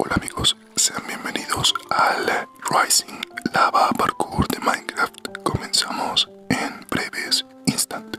Hola amigos, sean bienvenidos al Rising Lava Parkour de Minecraft. Comenzamos en breves instantes.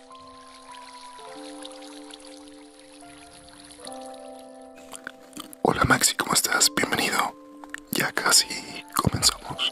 Hola Maxi, ¿cómo estás? Bienvenido. Ya casi comenzamos.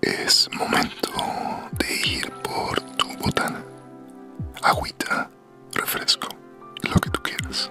Es momento de ir por tu botana, agüita refresco, lo que tú quieras.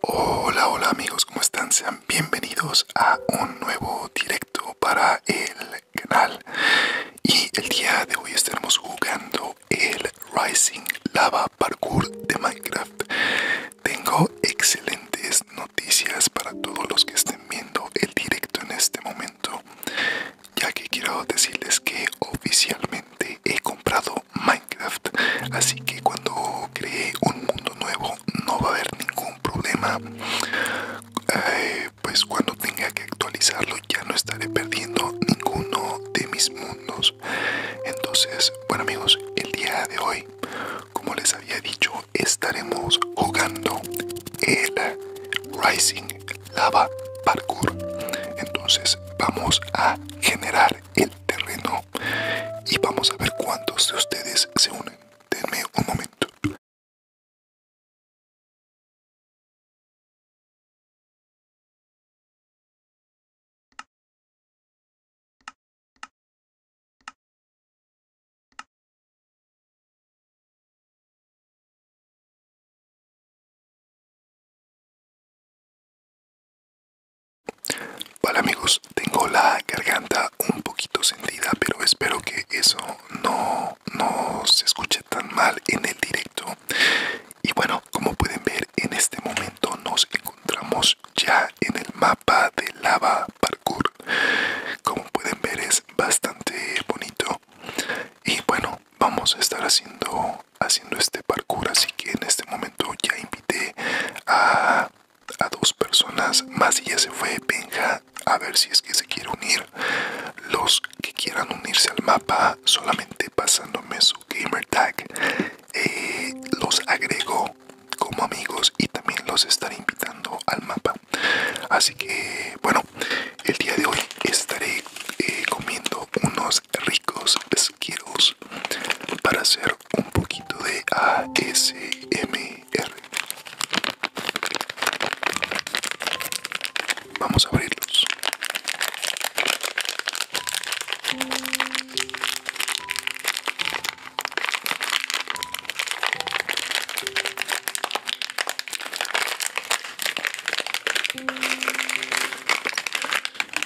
Hola, hola amigos, ¿cómo están? Sean bienvenidos a un nuevo directo para el canal. Y el día de hoy estaremos jugando el Rising Lava parkour de Minecraft. Tengo excelentes noticias para todos los que estén viendo el directo en este momento, ya que quiero decirles que oficialmente he comprado Minecraft, así que cuando cree un mundo nuevo no va a haber ningún problema. Eh, pues cuando tenga que actualizarlo ya no estaré perdiendo ninguno de mis mundos. Entonces, bueno amigos, el día de hoy como les había dicho, estaremos jugando el Rising Lava Parkour. Entonces vamos a generar el terreno y vamos a ver cuántos de ustedes se unen. Denme un momento. Hola amigos, tengo la garganta un poquito sentida, pero espero que eso no, no se escuche tan mal en el directo. Y bueno, como pueden ver, en este momento nos encontramos ya en el mapa de lava parkour como pueden ver es bastante bonito y bueno vamos a estar haciendo haciendo este parkour así que en este momento ya invité a, a dos personas más y ya se fue Benja a ver si es que se quiere unir los que quieran unirse al mapa solamente pasándome su gamer tag eh, los agrego como amigos y también los estaré invitando al mapa así que bueno el día de hoy estaré eh, comiendo unos ricos pesqueros para hacer un poquito de ASMR vamos a abrirlos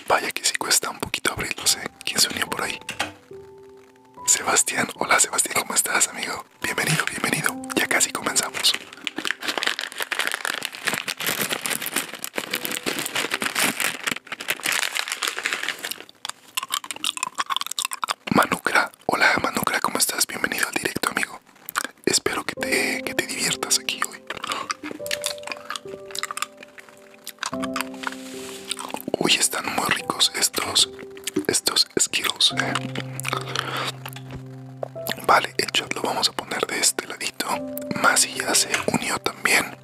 Vaya que sí cuesta un poquito no sé, ¿Quién se unió por ahí? Sebastián, hola Sebastián, ¿cómo estás, amigo? Bienvenido, bienvenido. Ya casi comenzamos. Manucra, hola Manucra, ¿cómo estás? Bienvenido al directo, amigo. Espero que te, diviertas aquí hoy. Uy, están muy ricos estos, estos esquilos. Eh. Vale, el lo vamos a poner de este ladito. Masi ya se unió también.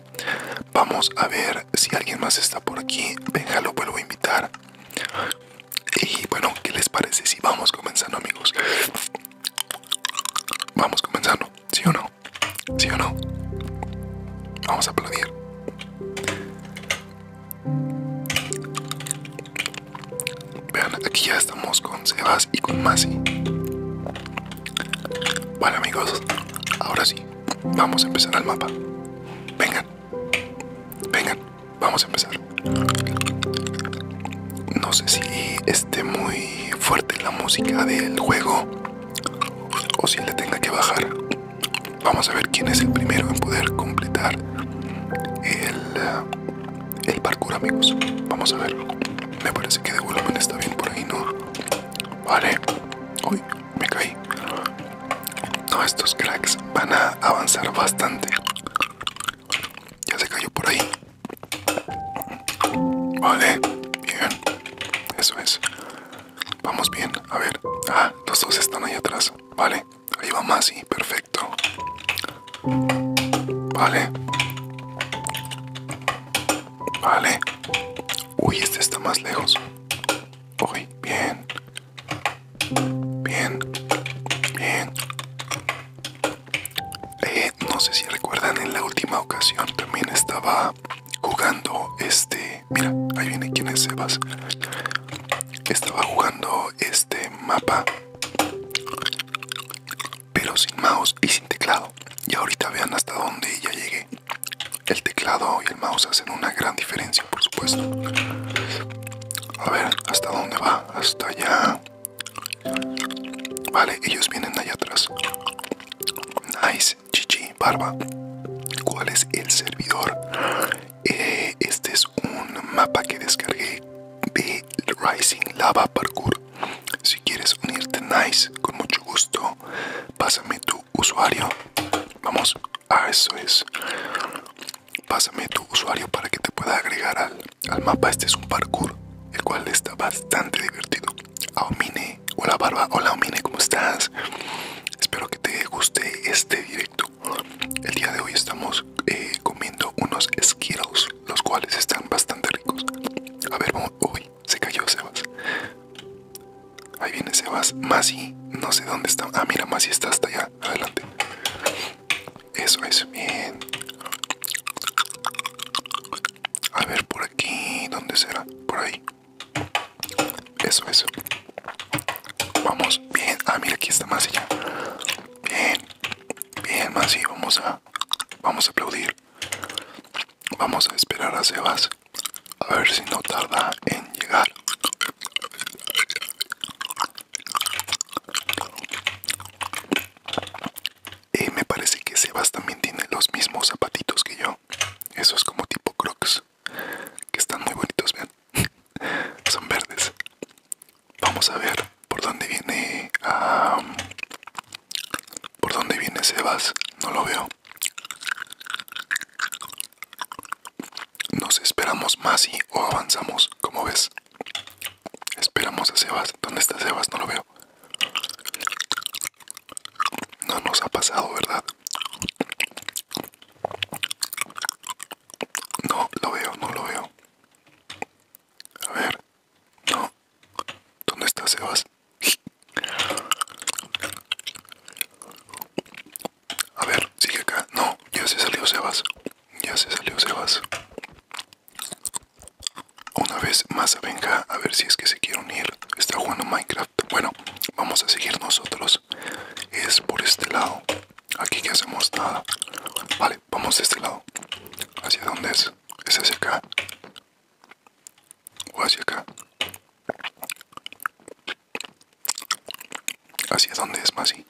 Vamos a ver si alguien más está por aquí. Venga, lo vuelvo a invitar. Y bueno, ¿qué les parece si vamos comenzando, amigos? Vamos comenzando, ¿sí o no? ¿Sí o no? Vamos a aplaudir. Vean, aquí ya estamos con Sebas y con Masi. Bueno, amigos, ahora sí. Vamos a empezar al mapa. Vengan. Vengan. Vamos a empezar. No sé si esté muy fuerte la música del juego o si le tenga que bajar. Vamos a ver quién es el primero en poder completar el, eh, el parkour, amigos. Vamos a ver. Me parece que de volumen está bien por ahí, ¿no? Vale. Uy me caí. No, estos cracks van a avanzar bastante. Ya se cayó por ahí. Vale, bien. Eso es. Vamos bien, a ver. Ah, los dos están ahí atrás. Vale, ahí va más, sí, perfecto. Vale. Vale. Uy, este está más lejos. Ok, bien. Bien. Bien. Eh, no sé si recuerdan en la última ocasión también estaba jugando este... Mira, ahí viene quién es Sebas. Estaba jugando este mapa. Pero sin mouse y sin teclado. Y ahorita vean hasta dónde ya llegué. El teclado y el mouse hacen una gran diferencia, por supuesto. A ver, ¿hasta dónde va? Hasta allá. Vale, ellos vienen allá atrás. Nice, chichi, barba. ¿Cuál es el servidor? Eh, este es un mapa que descargué de Rising Lava Parkour. Si quieres unirte, nice, con mucho gusto. Pásame tu usuario. Vamos, a eso es. Pásame tu usuario para que te pueda agregar al, mapa. Este es un parkour, el cual está bastante divertido. hola Barba, hola omine ¿cómo estás? Espero que te guste este directo. El día de hoy estamos eh, comiendo unos esquiros los cuales están bastante ricos. A ver, vamos. Uy, se cayó Sebas. Ahí viene Sebas. Masi, no sé dónde está. Ah, mira, Masi está hasta allá. Adelante. Eso es bien. A ver, por aquí. ¿Dónde será? Por ahí. Eso, eso. Vamos, bien. Ah, mira, aquí está Masi ya. Bien. Bien, Masi. Vamos a, vamos a aplaudir. Vamos a esperar a Sebas. A ver si no tarda en llegar. me parece que Sebas también tiene los mismos zapatitos que yo. Esos como tipo crocs. Que están muy bonitos, vean. Son verdes. Vamos a ver por dónde viene... por dónde viene Sebas. No lo veo. Nos esperamos más y o avanzamos, como ves. Esperamos a Sebas. ¿Dónde está Sebas? No lo veo. No nos ha pasado, ¿verdad? No, lo veo, no lo veo. A ver. No. ¿Dónde está Sebas? A ver, sigue acá. No, ya se salió Sebas. Ya se salió Sebas. Una vez más, venga a ver si es que se quiere unir. Está jugando Minecraft. Bueno, vamos a seguir nosotros. Es por este lado. Aquí que hacemos nada. Vale, vamos de este lado. ¿Hacia dónde es? ¿Es hacia acá? ¿O hacia acá? es donde es Masi?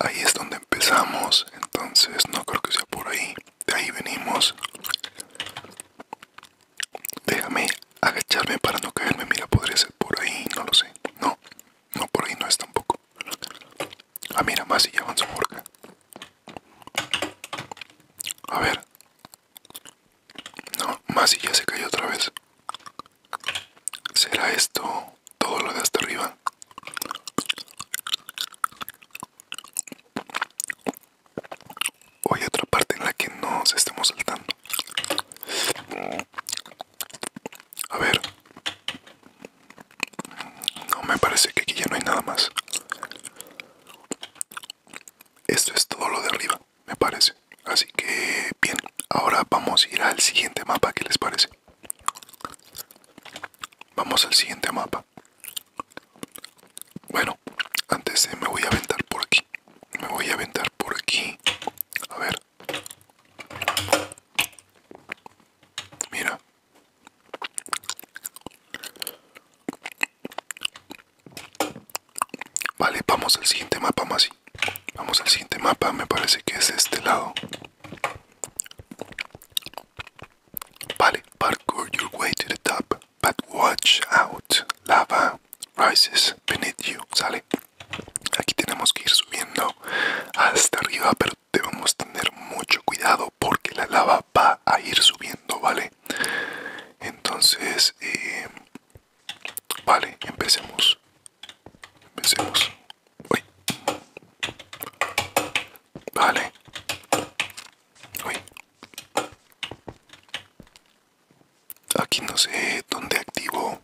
Ahí es donde empezamos, entonces no creo que sea por ahí. De ahí venimos. Déjame agacharme para no caerme. Mira, podría ser por ahí, no lo sé. No, no por ahí no es tampoco. Ah, mira, Masi ya en por A ver, no, más y ya se cayó otra vez. ¿Será esto todo lo de hasta arriba? O hay otra parte en la que nos estemos saltando. A ver. No, me parece que aquí ya no hay nada más. Esto es todo lo de arriba me parece. Así que bien, ahora vamos a ir al siguiente mapa, ¿qué les parece? Vamos al siguiente mapa. Bueno, antes me voy a aventar por aquí. Me voy a aventar por aquí. A ver. Mira. Vale, vamos al siguiente mapa, Masi. Vamos al siguiente mapa, me parece que es este lado. Vale, parkour your way to the top, but watch out. Lava rises beneath you. Sale. Aquí tenemos que ir subiendo hasta arriba, pero debemos tener mucho cuidado porque la lava va a ir subiendo, ¿vale? entonces eh, vale empecemos empecemos vale aquí no sé dónde activo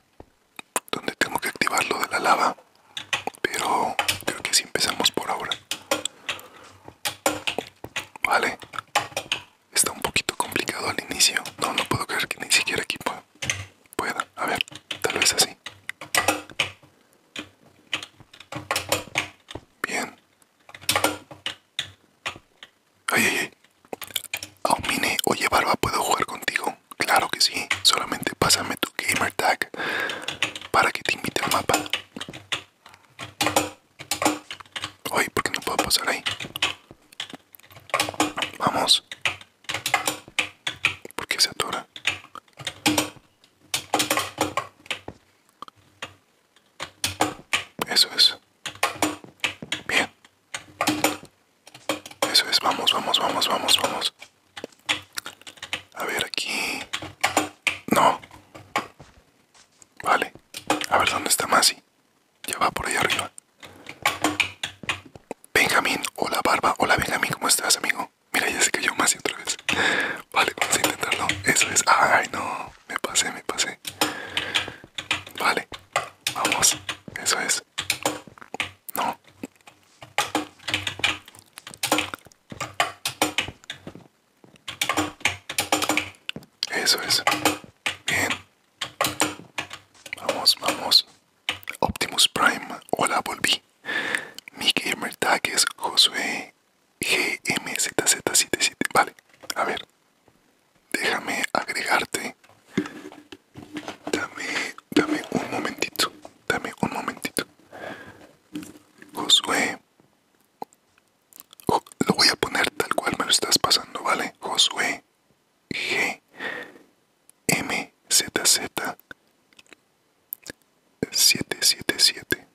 dónde tengo que activar lo de la lava pero creo que si empezamos por ahora vale Está un poquito complicado al inicio. No, no puedo creer que ni siquiera aquí pueda. A ver, tal vez así. Bien. Ay, ay, ay. Aumine, oye Barba, ¿puedo jugar contigo? Claro que sí. Solamente pásame tu gamer tag para que te invite al mapa. Ay, ¿por qué no puedo pasar ahí? Vamos. ¿Por qué se atura? Eso es. Bien. Eso es. Vamos, vamos, vamos, vamos, vamos. A ver aquí. No. Vale. A ver dónde está Masi. Ya va por ahí arriba. Benjamín, hola Barba, hola Benjamín, ¿cómo estás, amigo? Mira, ya se cayó más y otra vez. Vale, vamos a intentarlo. Eso es. Ay, no, me pasé, me pasé. Vale, vamos. Eso es. No. Eso es. Bien. Vamos, vamos. Optimus Prime, hola, volví. gamer tag es Josué GMZZ77. Vale, a ver. Déjame agregarte. Dame, dame un momentito. Dame un momentito. Josué lo voy a poner tal cual me lo estás pasando, ¿vale? Josué G M Z Z 777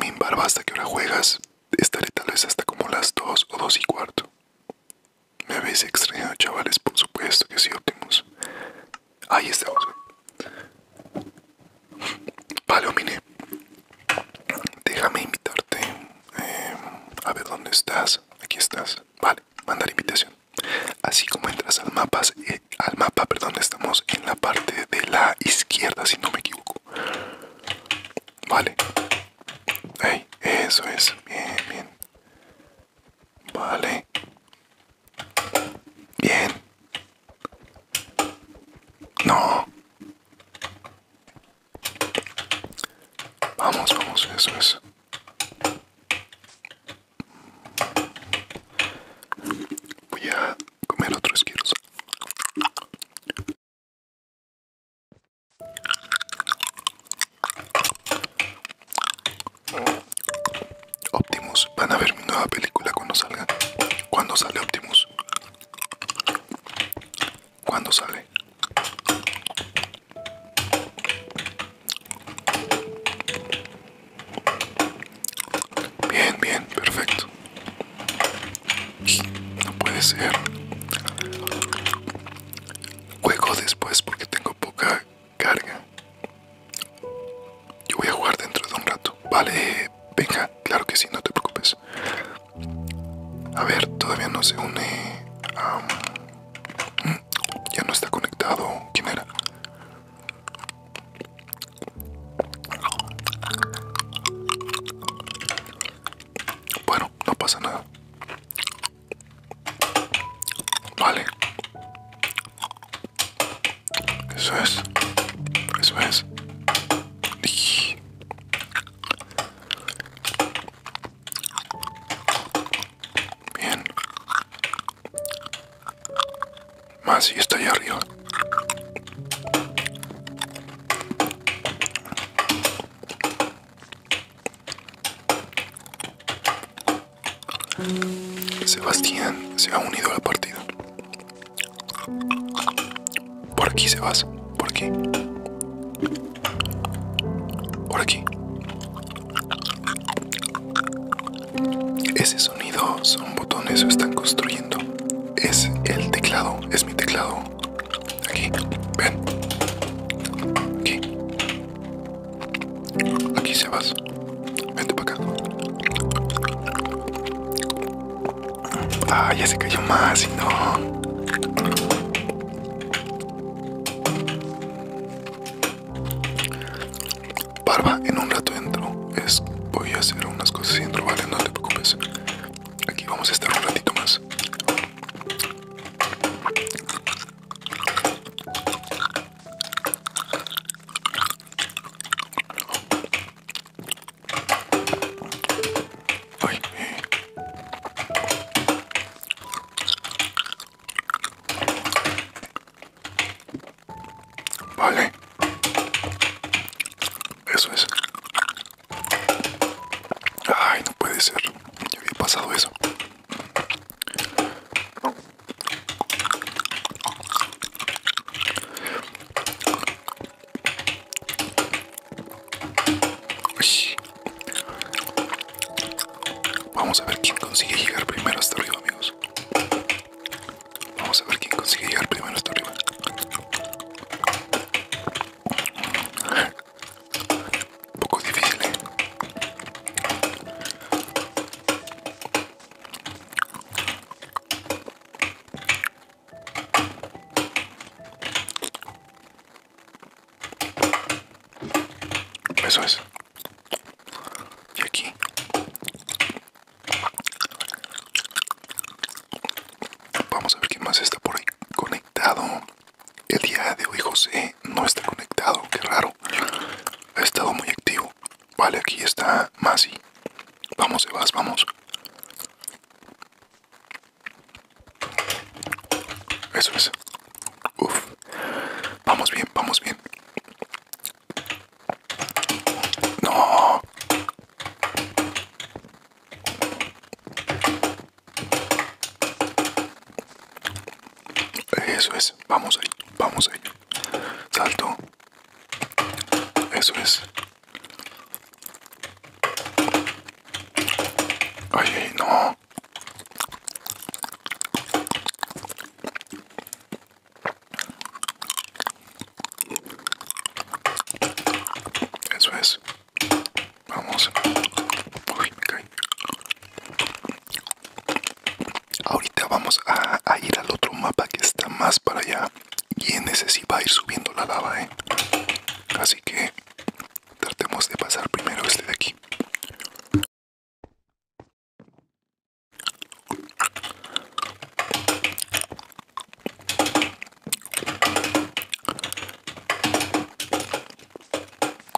mi Barba, ¿hasta que ahora juegas? Estaré tal vez hasta como las 2 o 2 y cuarto. Me habéis extrañado, chavales, por supuesto que sí, óptimos Ahí está Vale, Omine. Déjame invitarte. Eh, a ver dónde estás. Aquí estás. Vale, mandar invitación. Así como entras al mapa, eh, al mapa, perdón, estamos en la parte de la izquierda, si no me equivoco. Vale. eso es. Bien, bien. Vale. Bien. No. Vamos, vamos, eso es. Voy a comer otro esquilos Optimus, van a ver mi nueva película cuando salga. Cuando sale Optimus. ¿Cuándo sale? Bien, bien, perfecto. No puede ser. Juego después porque tengo poca carga. Yo voy a jugar dentro de un rato. Vale venga, claro que sí, no te preocupes. A ver, todavía no se une. Mm, ya no está conectado. ¿Quién era? Bueno, no pasa nada. Vale. Eso es. Eso es. Bien. Más y está allá arriba. Sebastián se ha unido a la partida. Por aquí, se vas, Por aquí. Por aquí. Ese sonido son botones están construyendo. Es el teclado, es mi teclado. Aquí, ven. Aquí. Aquí, vas Vente para acá. Ah, ya se cayó más y no. Barba, en un rato entro. Es, voy a hacer unas cosas y entro, vale, no te preocupes. Aquí vamos a estar un ratito más. Ay. Vale. Eso es. Ay, no puede ser. Ya había pasado eso. Vamos a ver quién consigue llegar primero hasta arriba, amigos. Vamos a ver quién consigue llegar primero hasta arriba. Un poco difícil, ¿eh? Eso es. Y aquí. Vamos a ver qué más está por ahí conectado. El día de hoy José no está conectado, qué raro. Ha estado muy activo. Vale, aquí está Masi. Vamos, vas vamos. Eso es. Uf. Vamos bien, vamos bien. No. Eso es. Vamos ahí, vamos ahí. Salto. Eso es ay, no. Eso es. Vamos. Ahorita vamos a ir al otro mapa que está más para allá. Y en ese va a ir subiendo la lava, ¿eh? Así que tratemos de pasar primero este de aquí.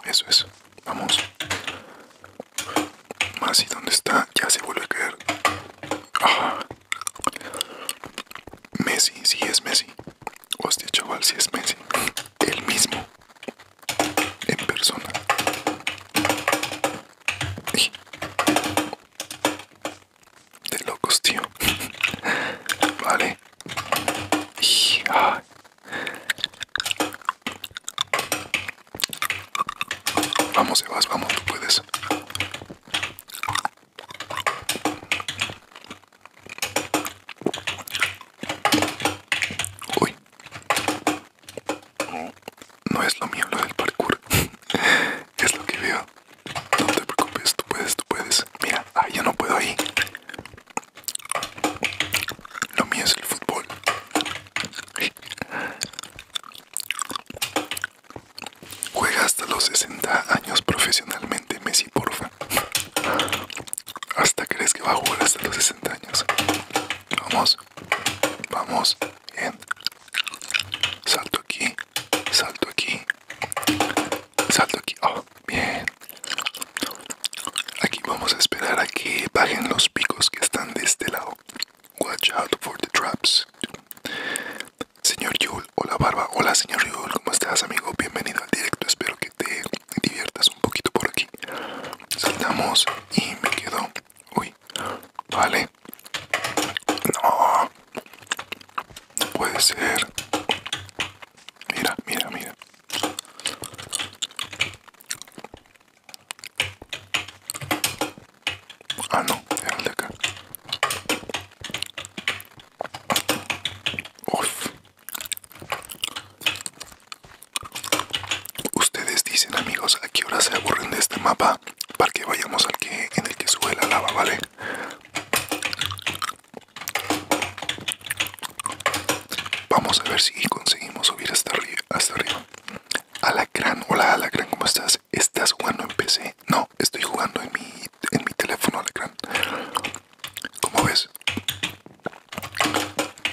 Eso es, vamos. Más y donde está, ya se vuelve a caer. Ah. Messi, si es Messi. Hostia, este chaval, si es Messi. El mismo. En persona. De locos, tío. Vale. Vamos, Sebas, vamos, tú puedes. Uy. No es lo mío lo del parkour. es lo que veo. No te preocupes, tú puedes, tú puedes. Mira, ah, yo no puedo ahí. Lo mío es el fútbol. Juega hasta los 60 años profesionalmente, Messi, porfa. ¿Hasta crees que va a jugar hasta los 60 años? Vamos, vamos, bien. Salto aquí, salto aquí, salto aquí. Oh, bien. Aquí vamos a esperar a que bajen los picos que están de este lado. Watch out for the traps. Señor Yul, hola Barba, hola señor Yul, ¿cómo estás amigo? Bienvenido al directo, espero que te diviertas un poquito por aquí. Saltamos y me quedo. Uy, vale. No, puede ser. Mira, mira, mira. Ah, no, el de acá. Uf. Ustedes dicen amigos a qué hora se aburren de este mapa para que vayamos al que en el que sube la lava, ¿vale? Vamos a ver si conseguimos subir hasta arriba hasta arriba. Alacrán, hola Alacrán, ¿cómo estás? ¿Estás jugando en PC? No, estoy jugando en mi en mi teléfono cran, Como ves,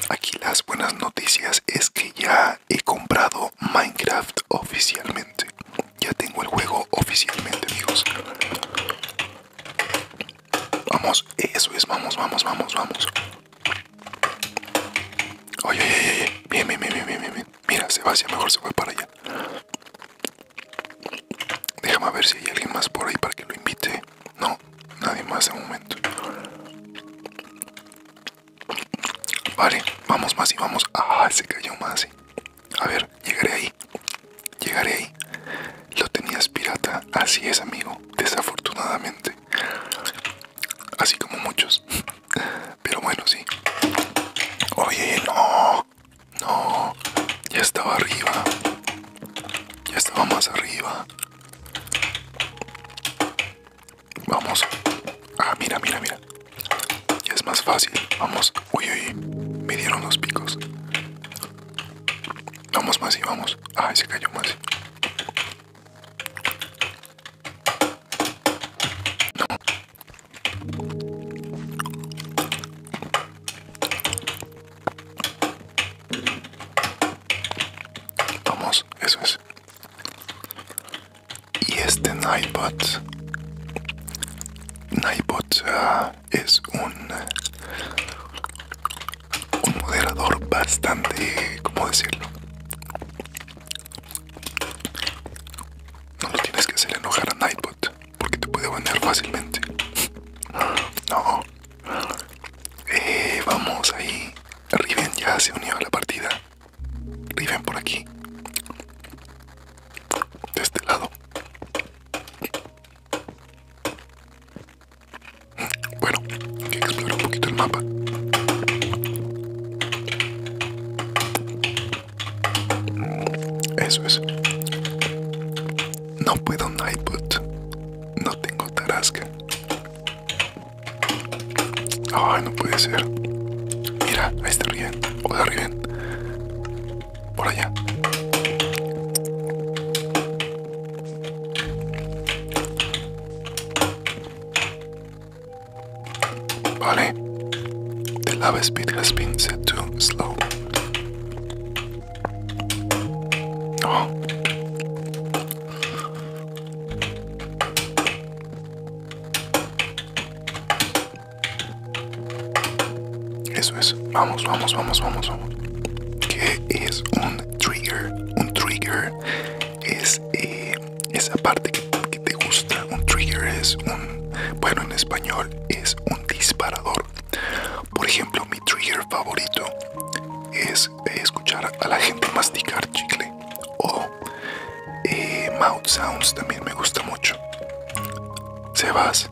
aquí las buenas noticias es que ya he comprado Minecraft oficialmente. Ya tengo el juego oficialmente, amigos. Vamos, eso es, vamos, vamos, vamos, vamos. Oye, oye, oye, bien, bien, Mira, mejor se va para allá. Déjame ver si hay alguien más por ahí para que lo invite. No, nadie más de momento. Vale, vamos más y vamos. Ah, se cayó más. A ver, llegaré ahí. Llegaré ahí. Lo tenías pirata. Así es, amigo. Desafortunadamente. Así como muchos. Pero bueno, sí. Oye, no. No, ya estaba arriba. Ya estaba más arriba. Vamos. Ah, mira, mira, mira. Ya es más fácil. Vamos. Uy, uy. Me dieron los picos. Vamos, más y vamos. Ay, se cayó más. No. Vamos, eso es. Y este Nightbot. Nightbot ah, es un. Un moderador bastante. ¿Cómo decirlo? No lo tienes que hacer enojar a Nightbot porque te puede banear fácilmente. No. Eh, vamos ahí. Riven ya se unió a la partida. Riven por aquí. De este lado. Bueno, hay que explorar un poquito el mapa. Eso es. No puedo un iPod. No tengo tarasca. Ay, no puede ser. Mira, ahí está O Hola Riven. Por allá. Vale. The love speed has been set to slow. Oh. Eso es. Vamos, vamos, vamos, vamos, vamos. es un trigger? Un trigger es eh, esa parte que te gusta. Un trigger es un, bueno, en español es un disparador. Por ejemplo, mi trigger favorito es eh, escuchar a la gente masticar chicle o eh, mouth sounds también me gusta mucho. Sebas,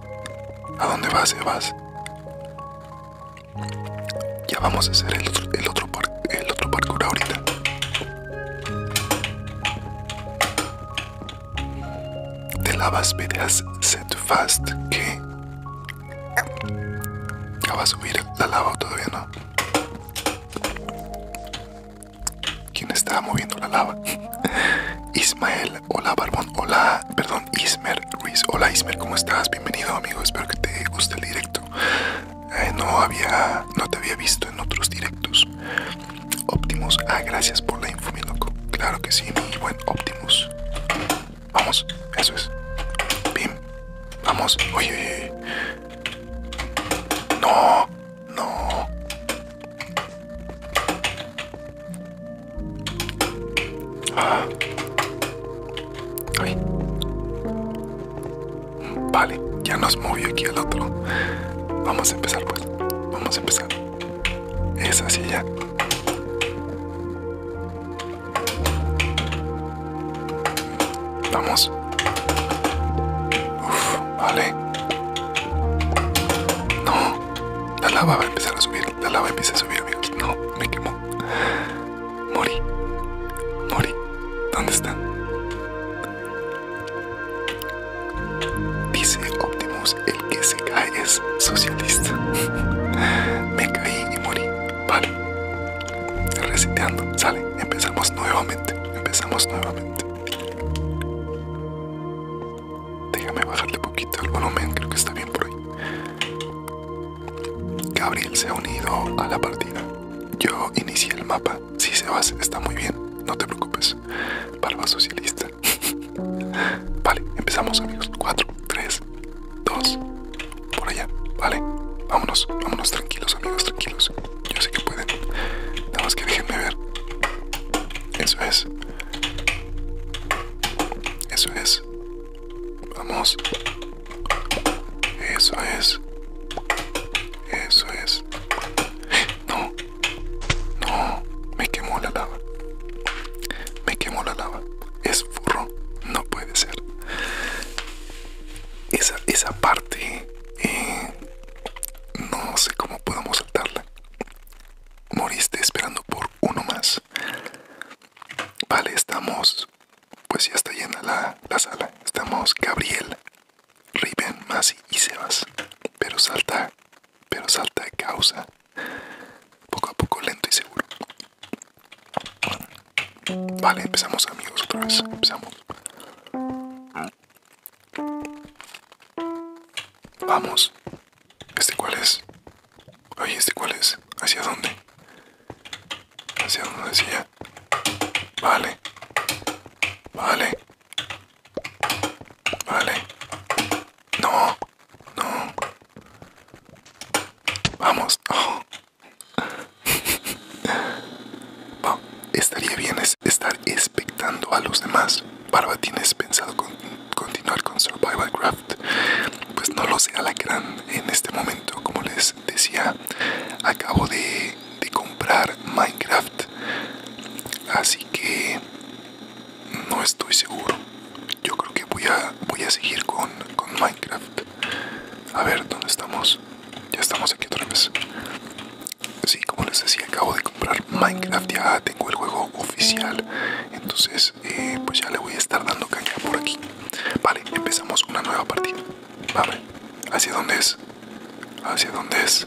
¿a dónde vas, Sebas? Ya vamos a hacer el otro, el otro, el otro parkour ahorita de la Set fast que Acaba va a subir la lava o todavía no. ¿Quién está moviendo la lava? Ismael, hola Barbón, hola, perdón, Ismer Ruiz, hola Ismer, ¿cómo estás? Bienvenido amigo, espero que te guste el directo. Eh, no había, no te había visto en otros directos. Optimus, ah, gracias por la info, mi loco. Claro que sí, muy buen Optimus. Vamos. Eso es. Bim. Vamos. Oye, oye. No. No. Ah. Vale. Ya nos movió aquí el otro. Vamos a empezar, pues. Vamos a empezar. Esa silla. Vamos. Uf, vale. No. La lava va a empezar a subir. La lava empieza a subir, amigos. No, me quemó. Mori. Mori. ¿Dónde están? Dice Optimus el que se cae es socialista. Me caí y morí. Vale. Reseteando. Sale. Empezamos nuevamente. Empezamos nuevamente. Déjame bajarle poquito el volumen. Creo que está bien por ahí. Gabriel se ha unido a la partida. Yo inicié el mapa. Si se va, está muy bien. No te preocupes. Palma socialista. Vale, empezamos amigos. 4, 3, 2, por allá. Vale, vámonos, vámonos tranquilos amigos, tranquilos. Yo sé que pueden. Nada más que déjenme ver. Eso es. Eso es. Vamos. Eso es. Eso es. No. No. Me quemó la lava. Me quemó la lava. Es furro. No puede ser. Esa, parte eh, no sé cómo podemos saltarla. Moriste esperando por uno más. Vale, estamos. Pues ya está llena la, la sala. Estamos Gabriel, Riven, Masi y Sebas. Pero salta pero salta de causa, poco a poco, lento y seguro. Vale, empezamos amigos otra vez, empezamos. Vamos. ¿Este cuál es? Oye, ¿este cuál es? ¿Hacia dónde? ¿Hacia dónde decía? Vale. Vale. Vale. No. No. Vamos. estaría bien estar expectando a los demás. Barba, ¿tienes pensado continuar con Survival Craft? Pues no lo sé, la gran En este momento, como les decía, acabo de comprar Minecraft. Así que no estoy seguro yo creo que voy a, voy a seguir con, Minecraft. A ver, ¿dónde estamos? Ya estamos aquí otra vez. Sí, como les decía, acabo de comprar Minecraft, ya tengo el juego oficial. Entonces, eh, pues ya le voy a estar dando caña por aquí. Vale, empezamos una nueva partida. ver, ¿hacia dónde es? ¿Hacia dónde es?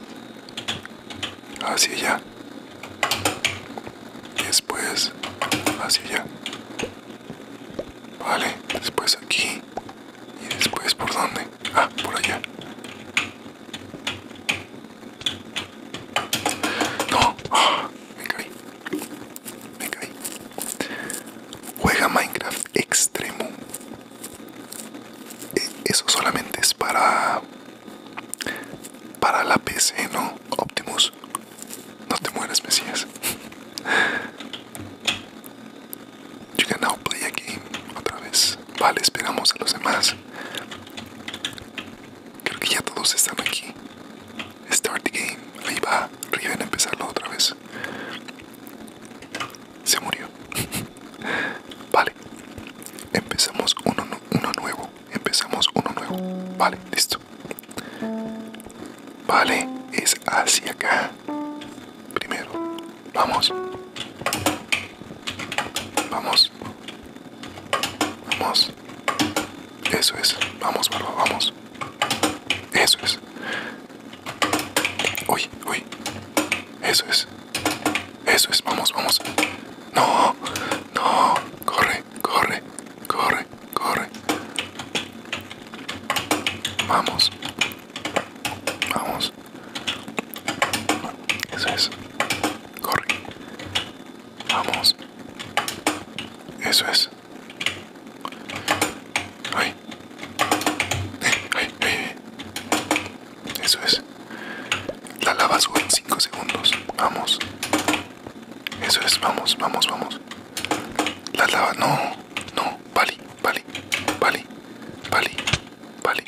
Hacia allá después hacia allá. Vale, después aquí. Y después por dónde? Ah, por allá. No, me caí. Me caí. Juega Minecraft Extremo. E, eso solamente es para... Para la PC, ¿no? Optimus. No te mueras, Mesías. You can now play a game otra vez. Vale, esperamos a los demás. Creo que ya todos están aquí. Start the game. Ahí va. Riven a empezarlo otra vez. Se murió. vale. Empezamos uno nuevo empezamos uno nuevo. Vale, listo. Vale, es hacia acá. Primero, vamos. Vamos. Vamos. Eso es. Vamos, barba, vamos. Eso es. Uy, uy. Eso es. Eso es. Vamos, vamos. No, no. Corre corre, corre, corre, Vamos. Vamos. Eso es. Corre. Vamos. Eso es. Ay. Ay, ay, Eso es. La lava sube en 5 segundos. Vamos. Eso es, vamos, vamos, vamos. La lava, no, no, vale, vale Vale, vale vale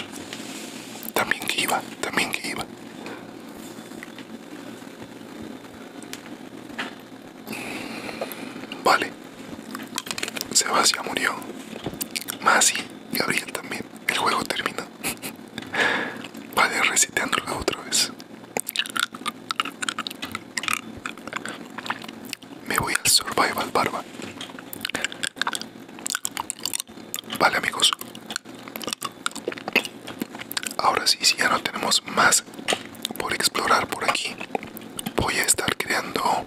También que iba, también que iba. Mm, vale. Sebastián murió. Masi, Gabriel también. El juego terminó. vale, reciteándola otra vez. Me voy al Survival Barba. Vale amigos. Ahora sí, si ya no tenemos más por explorar por aquí, voy a estar creando...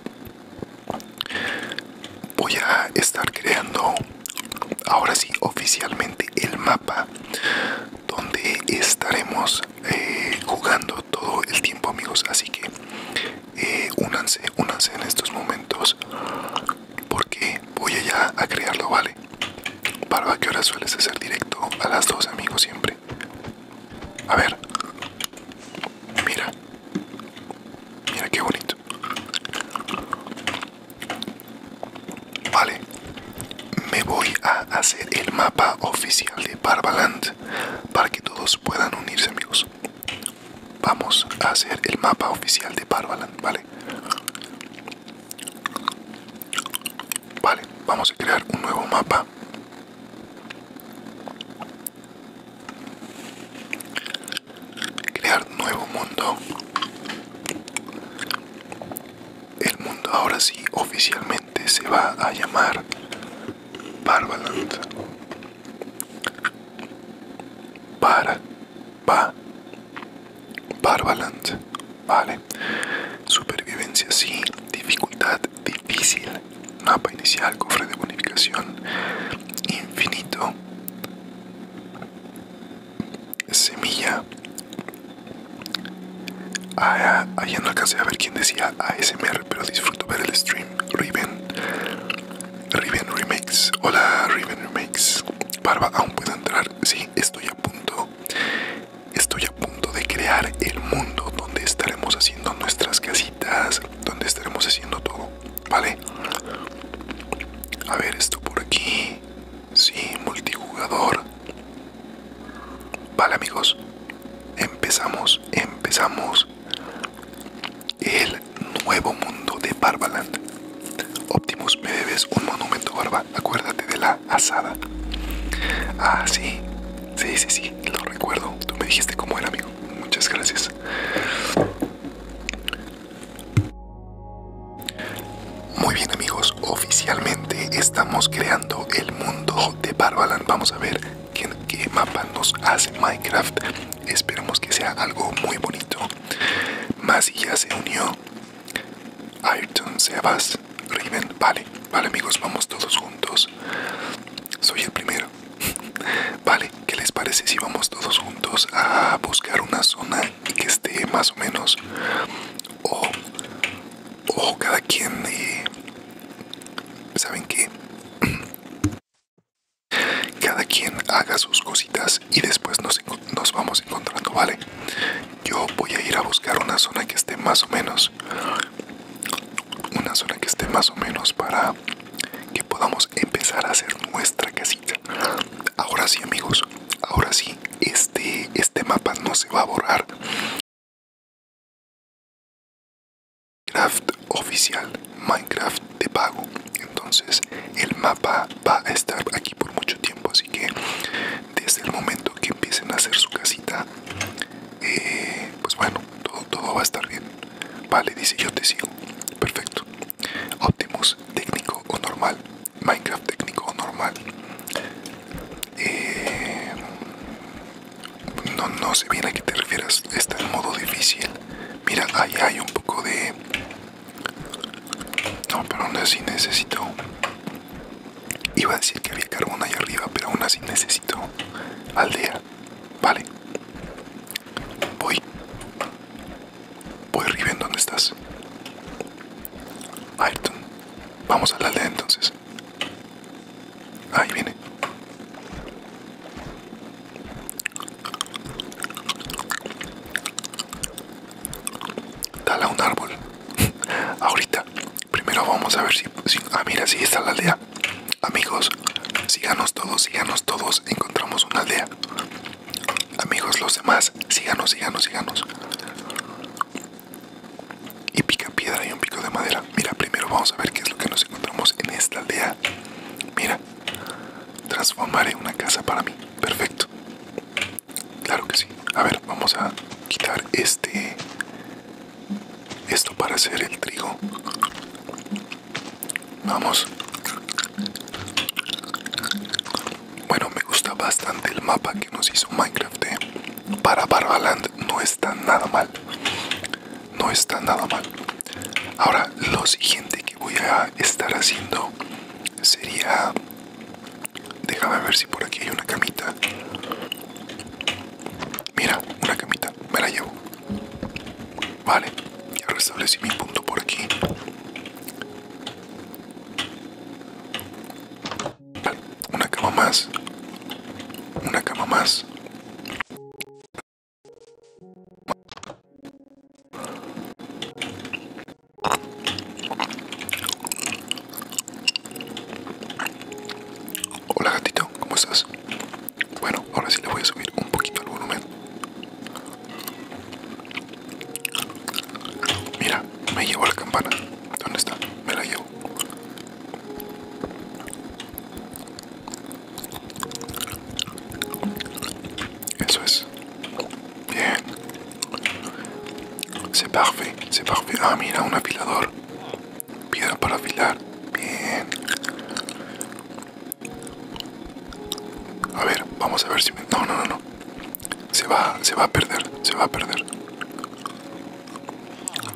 Voy a estar creando, ahora sí, oficialmente el mapa donde estaremos eh, jugando todo el tiempo amigos así que eh, únanse únanse en estos momentos porque voy allá a crearlo vale para ¿qué hora sueles hacer directo? A las dos, amigos, siempre. A ver. Mira. Mira qué bonito. Vale, me voy a hacer el mapa oficial de Barbaland para que todos puedan unirse amigos. Vamos a hacer el mapa oficial de Barbaland, ¿vale? Vale, vamos a crear un nuevo mapa. Crear nuevo mundo el mundo ahora sí oficialmente se va a llamar Barbaland. Para, va, Barbaland, vale. Supervivencia sí, dificultad difícil, mapa inicial, cofre de bonificación, infinito, semilla. Ah, ah, ah no alcancé a ver quién decía ASMR, pero disfruto ver el stream. Riven, Riven Remakes. Hola, Riven Remakes. Barba, aún puedo entrar. Sí, estoy a punto. Estoy a punto de crear el mundo donde estaremos haciendo nuestras casitas, donde estaremos haciendo todo, ¿vale? A ver, esto por aquí. Sí, multijugador. Vale amigos, empezamos, empezamos el nuevo mundo de Barbaland. Optimus, me debes un monumento, Barba. Acuérdate de la asada. Ah, sí, sí, sí, sí, lo recuerdo. Tú me dijiste cómo era, amigo. Muchas gracias. Muy bien amigos, oficialmente estamos creando el mundo de Barbaland. Vamos a ver qué, qué mapa nos hace Minecraft. Esperemos que sea algo muy bonito. Masi ya se unió. Ayrton, Sebas, Riven, vale, vale amigos, vamos todos juntos. Soy el primero. Vale, ¿qué les parece si vamos todos juntos a buscar una zona que esté más o menos o ojo cada quien eh, saben qué cada quien haga sus cositas y después nos, nos vamos encontrando vale yo voy a ir a buscar una zona que esté más o menos una zona que esté más o menos para que podamos empezar a hacer nuestra casita ahora sí amigos ahora sí este, este mapa no se va a borrar Minecraft oficial Minecraft de pago entonces el mapa va a estar aquí por mucho tiempo así que desde el momento que empiecen a hacer su casita eh, pues bueno todo, todo va a estar bien vale dice yo te sigo perfecto Optimus técnico o normal Minecraft técnico normal. Eh, no, no sé bien a qué te refieres. Está en modo difícil. Mira, ahí hay un poco de... No, pero aún así necesito... Iba a decir que había carbón ahí arriba, pero aún así necesito aldea. Vale. Voy. Voy, ¿En ¿dónde estás? Ayrton. Vamos a la aldea entonces. Ahí viene. Dale a un árbol. Ahorita. Primero vamos a ver si, Ah, mira, si está la aldea. Amigos, síganos todos, síganos todos. Encontramos una aldea. Amigos, los demás, síganos, síganos, síganos y pica piedra y un pico de madera. Mira, primero vamos a ver qué es lo que nos encontramos en esta aldea. Mira, transformaré una casa para mí. Perfecto. Claro que sí. A ver, vamos a quitar este... Esto para hacer el trigo. Vamos. Bueno, me gusta bastante el mapa que nos hizo Minecraft. ¿eh? para Barbaland no está nada mal. No está nada mal. Ahora, lo siguiente que voy a estar haciendo sería... Déjame ver si por aquí hay una camita. Mira, una camita. Me la llevo. Vale. Ya restablecí mi punto por aquí. Una cama más. Una cama más. Hola gatito, ¿cómo estás? Bueno, ahora sí le voy a subir un poquito el volumen. Mira, me llevo la campana. ¿Dónde está? Me la llevo. Eso es. Bien. Se parfait, se parfait. Ah, mira, un afilador. Piedra para afilar. Bien. A ver, vamos a ver si No, no, no, no. Se va, se va a perder, se va a perder.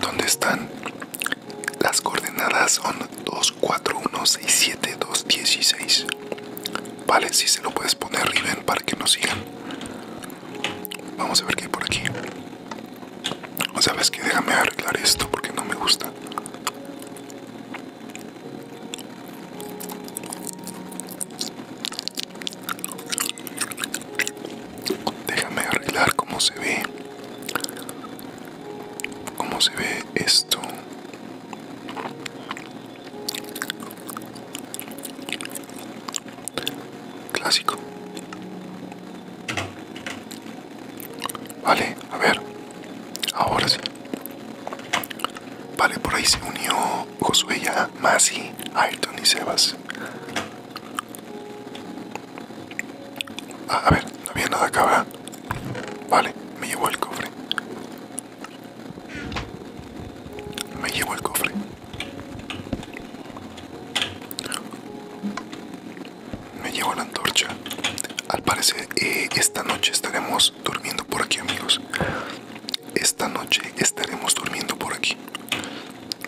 Dónde están las coordenadas son 2, 4, 1, 6, 7, 2, 16. Vale, si se lo puedes poner, Riven, para que nos sigan. Vamos a ver qué hay por aquí. O sea, que déjame arreglar esto porque no me gusta. Déjame arreglar cómo se ve. Cómo se ve esto. Clásico. Vale, a ver. Ahora sí. Vale, por ahí se unió Josué ya, Masi, Ayrton y Sebas. Ah, a ver, no había nada acá, Vale, me llevo el cofre. Me llevo el cofre. Me llevo la antorcha. Al parecer, eh, esta noche estaremos durmiendo por aquí, amigos. Esta noche estaremos durmiendo por aquí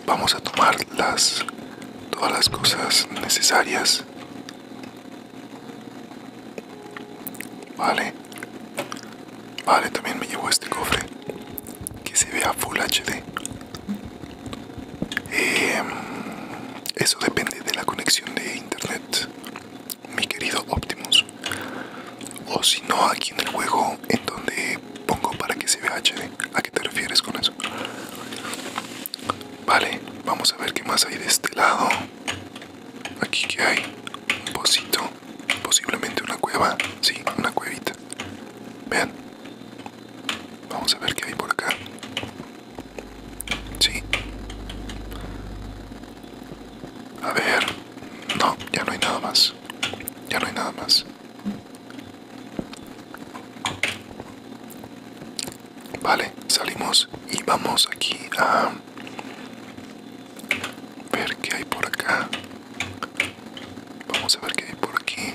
vamos a tomar las todas las cosas necesarias vale vale también me llevo este cofre que se vea full hd em, eso depende de la conexión de internet mi querido optimus o si no aquí en el juego en donde pongo para que se vea HD. ¿A qué te refieres con eso? Vale, vamos a ver qué más hay de este lado. Aquí que hay un pocito, posiblemente una cueva, sí, una cuevita. Vean, vamos a ver qué hay por acá. Sí, a ver, no, ya no hay nada más, ya no hay nada más. Vale, salimos y vamos aquí a ver qué hay por acá. Vamos a ver qué hay por aquí.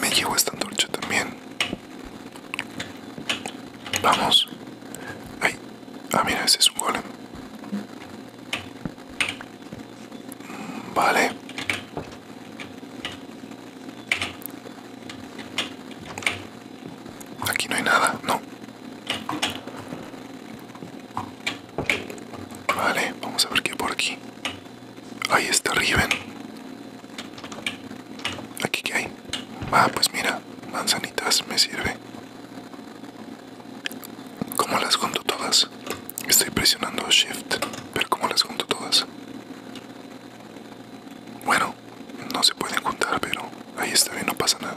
Me llevo esta antorcha también. Vamos. Ay, ah, mira, ese es un golem. Mm, vale. Aquí no hay nada, no. Vale, vamos a ver qué hay por aquí. Ahí está Riven. ¿Aquí qué hay? Ah, pues mira, manzanitas me sirve. ¿Cómo las junto todas? Estoy presionando Shift, pero ¿cómo las junto todas? Bueno, no se pueden juntar, pero ahí está bien, no pasa nada.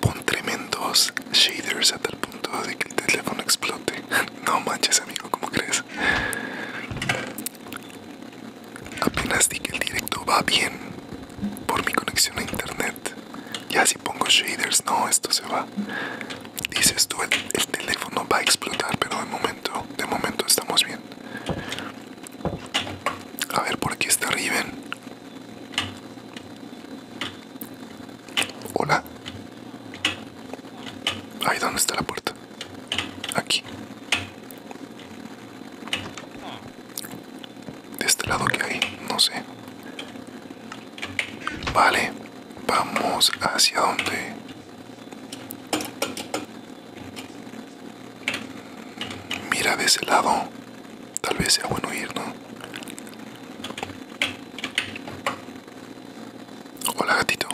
Pon tremendos shaders a tal punto de que el teléfono explote. No manches, amigo, ¿cómo crees? Apenas di que el directo va bien por mi conexión a internet. Ya si pongo shaders, no, esto se va. Dices tú, el, teléfono va a explotar, pero de momento, de momento estamos bien. A ver, por aquí está Riven. Hola. Ahí, donde está la puerta? Aquí. De este lado que hay, no sé. Vale, vamos hacia donde... Mira de ese lado. Tal vez sea bueno ir, ¿no? Hola gatito.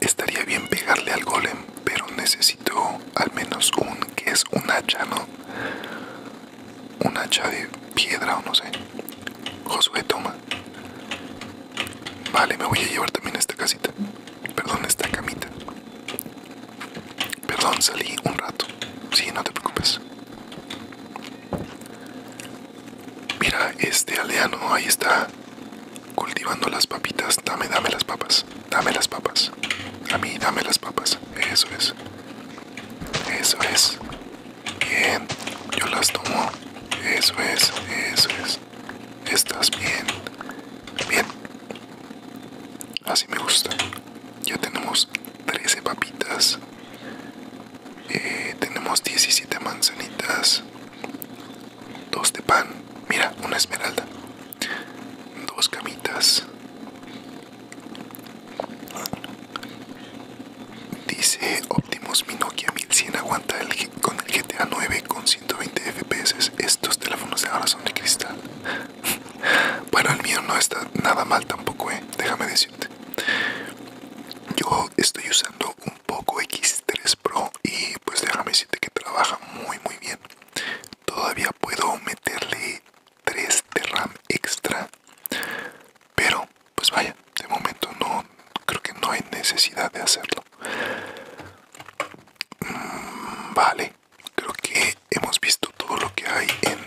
Estaría bien pegarle al golem, pero necesito al menos un que es un hacha, ¿no? Un hacha de piedra o no sé. Josué, toma. Vale, me voy a llevar también esta casita. Perdón, esta camita. Perdón, salí un rato. Sí, no te preocupes. Mira, este aldeano ahí está cultivando las papitas. Dame, dame las papas. Dame las papas. A mí, dame las papas. Eso es. Eso es. Bien. Yo las tomo. Eso es. Eso es. Estás bien. Bien. Así me gusta. Ya tenemos 13 papitas. Eh, tenemos 17 manzanitas. Dos de pan. Mira, una esmeralda. Dos camitas. Dice Optimus mi Nokia 1100 aguanta el con el GTA 9 con 120 FPS. Estos teléfonos de ahora son de cristal. bueno, el mío no está nada mal tampoco, eh. Déjame decirte. Yo estoy usando un poco X3 Pro y pues déjame decirte que trabaja muy muy bien. Todavía puedo meterle 3 de RAM extra. Pero, pues vaya, de momento no creo que no hay necesidad de hacerlo. Mm, vale, creo que hemos visto todo lo que hay en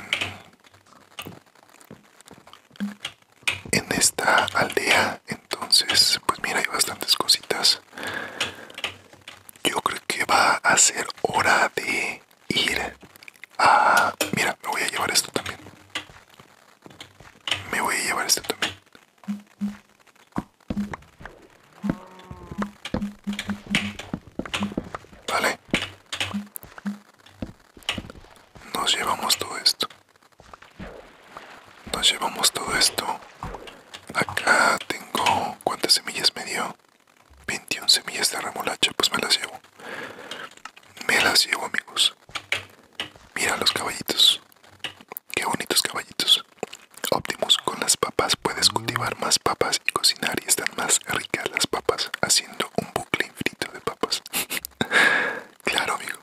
en esta aldea, entonces, pues mira, hay bastantes cositas. Yo creo que va a ser hora de ir a... Mira, me voy a llevar esto también. Me voy a llevar esto también. Vale. Nos llevamos todo esto. Nos llevamos todo esto. Acá tengo cuántas semillas me dio. 21 semillas de remolacha, pues me las llevo. Me las llevo, amigos. Mira los caballitos. Qué bonitos caballitos. Optimus, con las papas puedes cultivar más papas y cocinar y están más ricas las papas, haciendo un bucle infinito de papas. claro, amigo.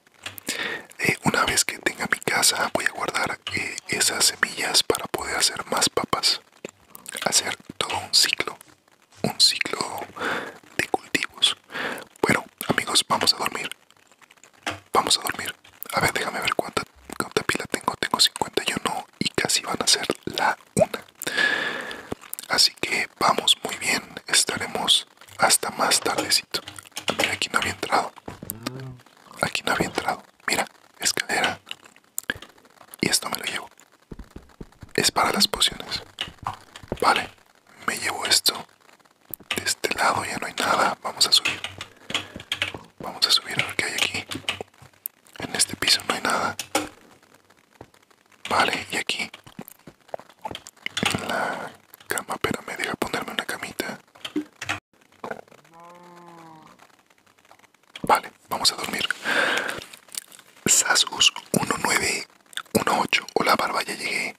Eh, una vez que tenga mi casa, voy a guardar eh, esas semillas para poder hacer más papas hacer todo un ciclo, un ciclo de cultivos. Bueno, amigos, vamos a dormir. Vamos a dormir. A ver, déjame ver cuánta, pila tengo. Tengo 51 y casi van a ser la una. Así que vamos muy bien. Estaremos hasta más tardecito. Ah, mira, aquí no había entrado. Aquí no había entrado. Mira, escalera. Y esto me lo llevo es para las pociones. Vale, me llevo esto. De este lado ya no hay nada. Vamos a subir. Vamos a subir a hay aquí. En este piso no hay nada. Vale, y aquí. En la cama, pero me deja ponerme una camita. Vale, vamos a dormir. Sasus 1918. Hola, barba, ya llegué.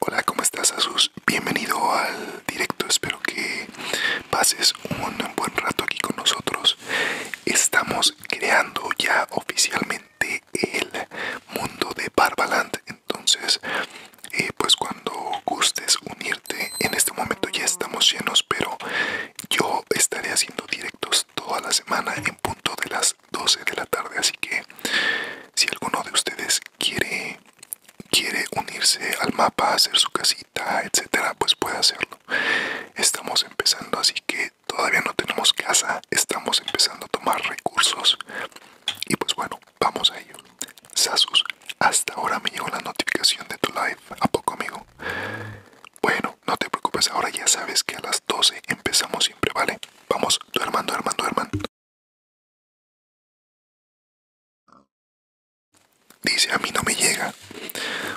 Hola, ¿cómo estás, Sasus? Bienvenido al directo. Espero que pases un buen rato aquí con nosotros. Estamos creando ya oficialmente el mundo de Barbaland. Entonces, eh, pues cuando gustes unirte, en este momento ya estamos llenos, pero yo estaré haciendo directos toda la semana en punto de las 12 de la tarde. Así que si alguno de ustedes quiere, quiere unirse al mapa, hacer su casita, etcétera, pues puede hacerlo. Estamos empezando, así que todavía no tenemos casa, estamos empezando a tomar recursos. Y pues bueno, vamos a ello. Sasus, hasta ahora me llegó la notificación de tu live. ¿A poco, amigo? Bueno, no te preocupes, ahora ya sabes que a las 12 empezamos siempre, ¿vale? Vamos, duerman, duerman, duerman. Dice, a mí no me llega.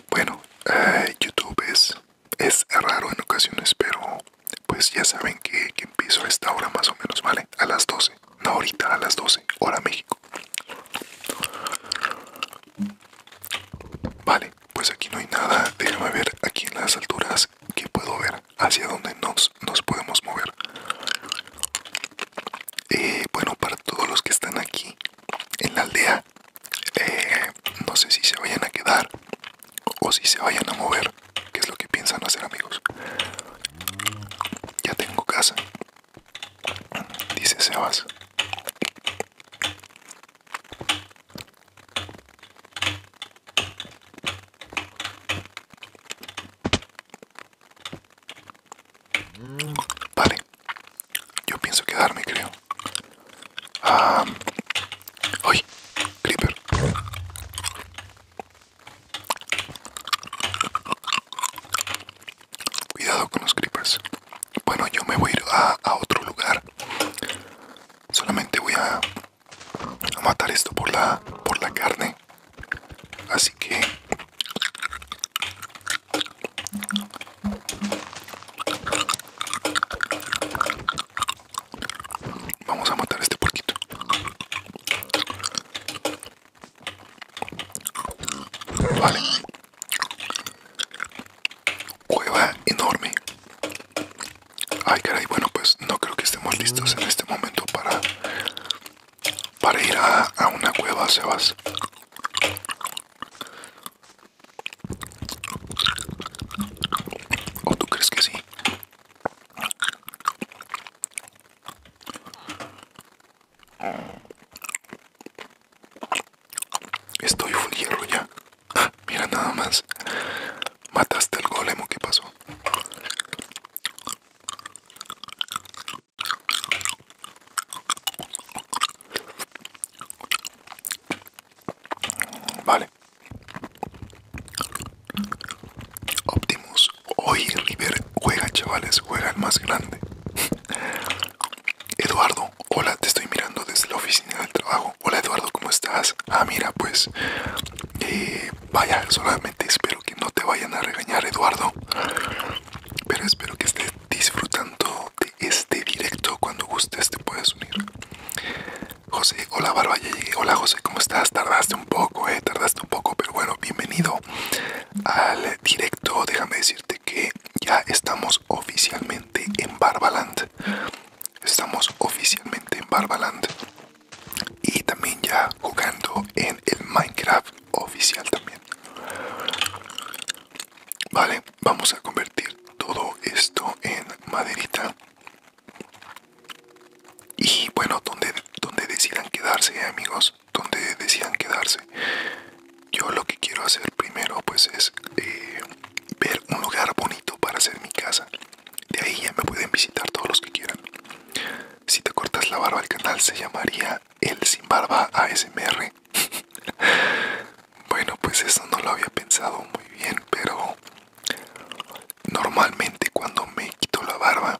Bueno, eh, YouTube es, es raro en ocasiones, pero pues ya saben que, que empiezo a esta hora más o menos, ¿vale? A las 12. No ahorita, a las 12, hora México. Vale, pues aquí no hay nada. Déjame ver aquí en las alturas que puedo ver hacia donde nos, nos podemos mover. Eh, bueno, para todos los que están aquí en la aldea, eh, no sé si se vayan a quedar o si se vayan a mover, que es lo que piensan hacer amigos. Ya tengo casa, dice Sebas. Vale, yo pienso quedarme, creo. Um, Creeper. Cuidado con los creepers. Bueno, yo me voy a ir a, otro lugar. Solamente voy a, matar esto por la, por la carne. Así que... Vamos a matar este porquito. Vale. Cueva enorme. Ay, caray, bueno, pues no creo que estemos listos en este momento para, para ir a, una cueva, Sebas. ¿O tú crees que sí? Estoy full hierro ya. Ah, mira nada más. Mataste al golem qué pasó. Vale. Optimus. Hoy River juega, chavales. Juega el más grande. Eduardo. Hola, te estoy mirando desde la oficina del trabajo. Hola Eduardo, ¿cómo estás? Ah, mira, pues... Eh, vaya, solamente espero que no te vayan a regañar, Eduardo. Pero espero que estés disfrutando de este directo. Cuando gustes te puedes unir. José, hola Barba, Hola José, ¿cómo estás? Tardaste un poco, eh, tardaste un poco, pero bueno, bienvenido al directo. Déjame decirte que ya estamos oficialmente en Barbaland. Estamos oficialmente en Barbaland. Y también ya jugando en el Minecraft oficial también. Vale, vamos a convertir todo esto en maderita. Y bueno, donde, donde decidan quedarse, amigos, donde decidan quedarse yo lo que quiero hacer primero pues es eh, ver un lugar bonito para hacer mi casa. De ahí ya me pueden visitar todos los que quieran. Si te cortas la barba, el canal se llamaría El Sin Barba ASMR. bueno, pues eso no lo había pensado muy bien, pero normalmente cuando me quito la barba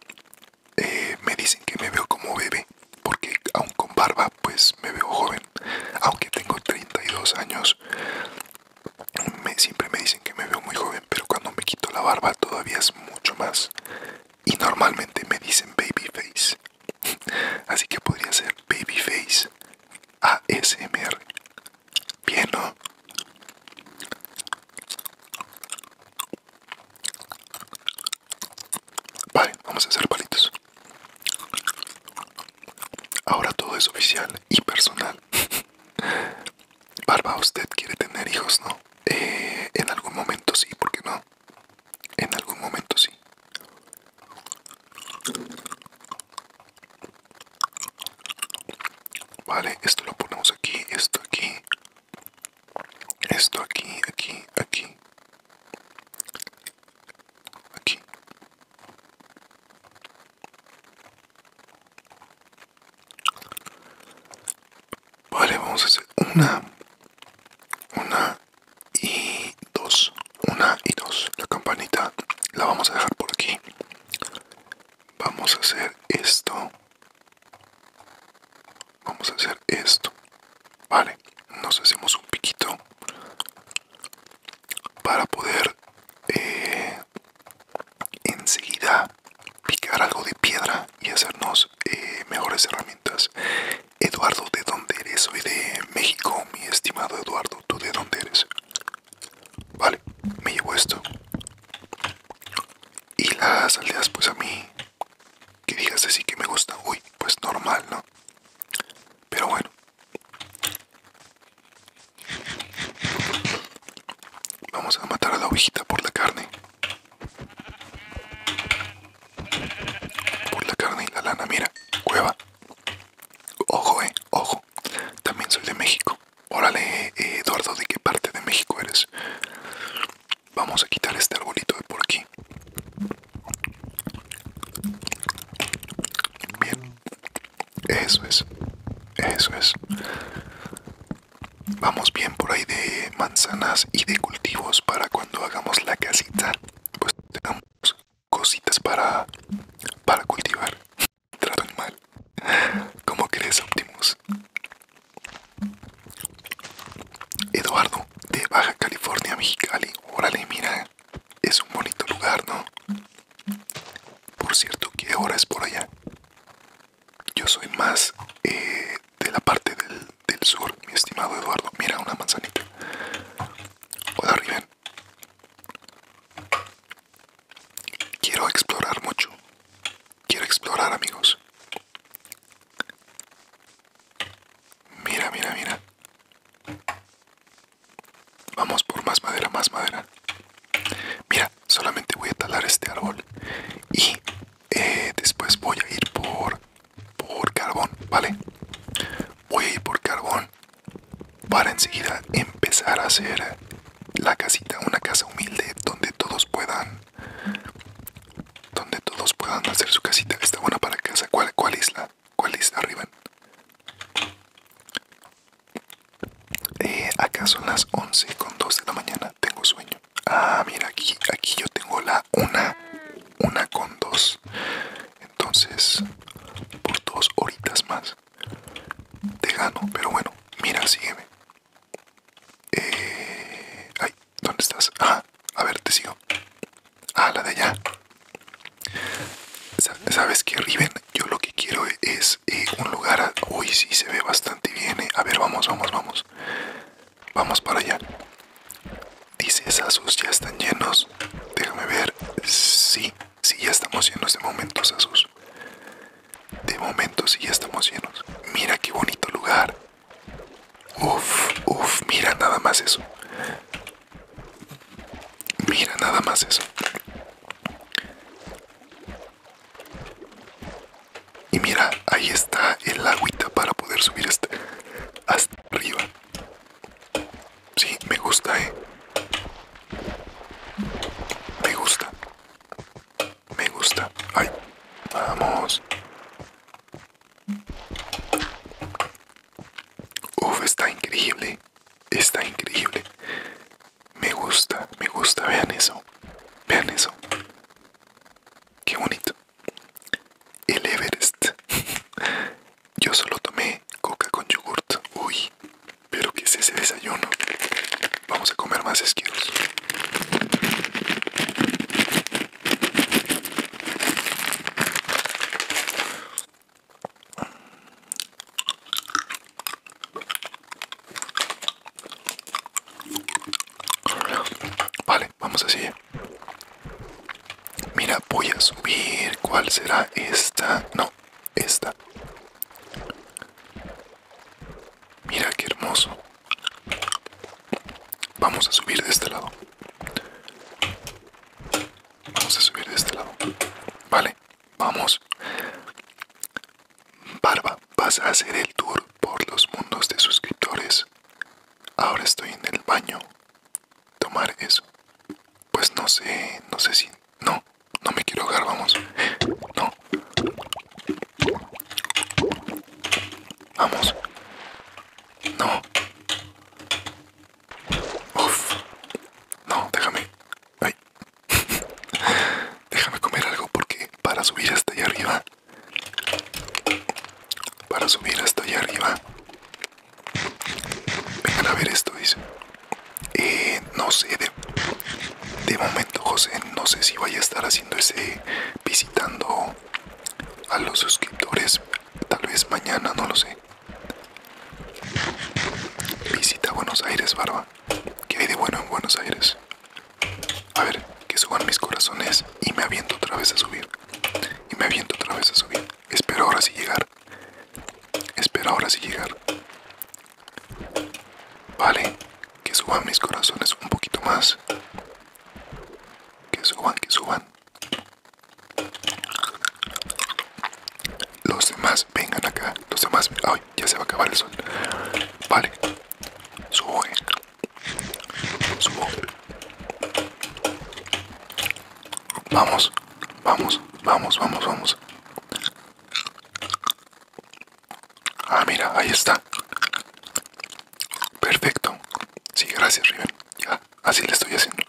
eh, me dicen que me veo como bebé, porque aún con barba pues me veo joven, aunque tengo 32 años. Me, siempre me dicen que me veo muy joven, pero cuando me quito la barba todavía es mucho más. Y normalmente me dicen baby face. Así que podría ser baby face ASMR. Bien, ¿no? Vale, vamos a hacer palitos. Ahora todo es oficial y personal. Barba, usted quiere tener hijos, ¿no? Eh, en algún momento sí, ¿por qué no? En algún momento sí. Vale, esto lo ponemos aquí, esto aquí. Esto aquí, aquí, aquí aquí vale vamos a hacer una una y dos una y dos la campanita la vamos a dejar por aquí vamos a hacer esto vamos a hacer esto vale nos hacemos un piquito para poder eh, enseguida picar algo de piedra y hacernos eh, mejores herramientas. Eduardo, ¿de dónde eres? Soy de México, mi estimado Eduardo. ¿Tú de dónde eres? Vale, me llevo esto. Y las aldeas, pues a mí, que digas así que me gusta, uy, pues normal, ¿no? Pero bueno, Vamos a matar a la ovejita por la carne. Por la carne y la lana, mira, cueva. Ojo, eh, ojo. También soy de México. Órale, eh, Eduardo, ¿de qué parte de México eres? Vamos a quitar este arbolito de por aquí. Eso es. Eso es. Vamos bien por ahí de manzanas y de cultivos para cuando hagamos la casita. Pues tenemos cositas para, para cultivar. Trato animal. ¿Cómo crees, Optimus? Eduardo, de Baja California, Mexicali. Órale, mira. Es un bonito lugar, ¿no? Por cierto, ¿qué hora es por allá? Yo soy más eh, de la parte del, del sur, mi estimado Eduardo. Mira, una manzanita. Hola, Riven. Quiero explorar mucho. Quiero explorar, amigos. Mira, mira, mira. Vamos por más madera, más madera. Mira, solamente voy a talar este árbol y eh, después voy a ir por, por carbón, ¿vale? Voy a ir por carbón para enseguida empezar a hacer la casita, una casa humilde donde todos puedan donde todos puedan hacer su casita. Está buena para casa. ¿Cuál, cuál isla? ¿Cuál es arriba. Eh, acá son las 11 con 2 de la mañana. Tengo sueño. Ah, mira, aquí, aquí yo tengo la 1. Una, una con 2. Entonces, por dos horitas más. Te gano, pero bueno, mira, sígueme. Eh, ay, ¿dónde estás? Ah, a ver, te sigo. Ah, la de allá. Sabes que Riven, yo lo que quiero es eh, un lugar. Uy, sí se ve bastante bien. Eh. A ver, vamos, vamos, vamos. Vamos para allá. Dice Sasus, ya están llenos. Déjame ver. Sí, sí, ya estamos llenos de momento, Sasus. De momento, sí, ya estamos llenos. Mira qué bonito lugar. Uf, uf, mira nada más eso. Mira nada más eso. Y mira, ahí está el agüita para poder subir este hasta, arriba. Sí, me gusta, eh. Me gusta. Me gusta. Ay, vamos. Uff, está increíble. Está increíble. Me gusta, me gusta. Vean eso. Vean eso. Qué bonito. El Everest. Yo solo tomé coca con yogurt. Uy, pero que es ese desayuno? Vamos a comer más esquiros. Vale, vamos así. Mira, voy a subir. ¿Cuál será esta? No, esta. Mira qué hermoso. Vamos a subir de este lado. Vamos a subir de este lado. Vale, Vamos. Barba, vas a hacer el tour por los mundos de suscriptores. Ahora estoy en el baño. Tomar eso. Pues no sé, no sé si... No, no me quiero ahogar, vamos. No. Vamos. No. Uf. No, déjame. Ay. Déjame comer algo porque para subir hasta allá arriba, para subir hasta allá arriba, vengan a ver esto, dice. Eh, no sé, de, momento José, no sé si vaya a estar haciendo ese, visitando a los suscriptores, tal vez mañana, no lo sé. Visita Buenos Aires, Barba. Que hay de bueno en Buenos Aires? A ver, que suban mis corazones y me aviento otra vez a subir. Y me aviento otra vez a subir. Espero ahora sí llegar. Espero ahora sí llegar. Vale, que suban mis corazones un poquito más. Que suban, que suban. Los demás vengan acá. Los demás. Ay, ya se va a acabar el sol. Vale. Subo. Subo. Vamos. Vamos. Vamos, vamos, vamos. Ah, mira, ahí está. Perfecto. Sí, gracias, Riven. Ya, así le estoy haciendo.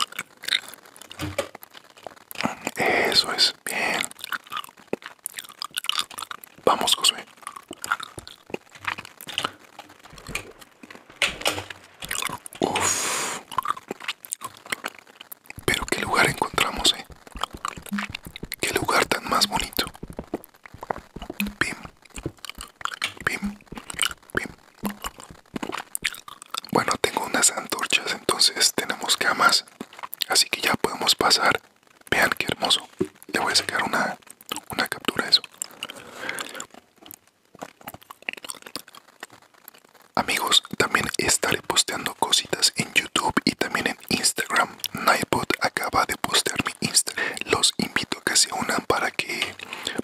Eso es, bien. Vamos, Cosme. Uf. Pero qué lugar encontramos, eh. Qué lugar tan más bonito. Pim. Pim. Pim. Bueno, tengo unas antorchas, entonces tenemos camas. Así que ya podemos pasar. Vean qué hermoso. Le voy a sacar una, una captura de eso. Amigos, también estaré posteando cositas en YouTube y también en Instagram. Nightbot acaba de postear mi Instagram. Los invito a que se unan para que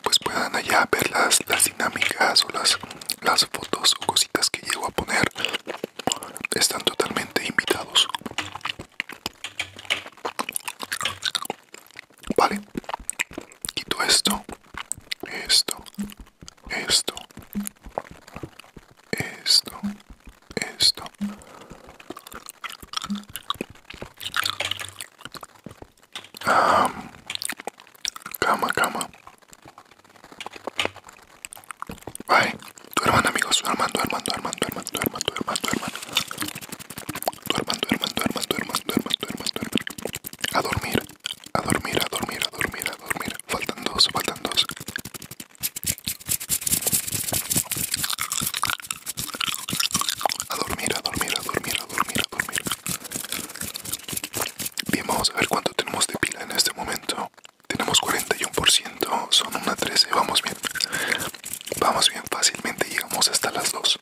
pues puedan allá ver las dinámicas o las las fotos o cositas que llego a poner están totalmente invitados vale quito esto esto esto esto esto cama cama tu Duerman amigos, duerman, duerman, duerman, duerman, duerman, duerman, duerman. Duerman, duerman, hermano, duerman, duerman, duerman, duerman. A dormir, a dormir, a dormir, a dormir, a dormir. Faltan dos, faltan dos. A dormir, a dormir, a dormir, a dormir, a dormir. Bien, vamos a ver cuánto tenemos de pila en este momento. Tenemos 41%, son una 13, vamos bien. Vamos bien, fácilmente llegamos hasta las 2.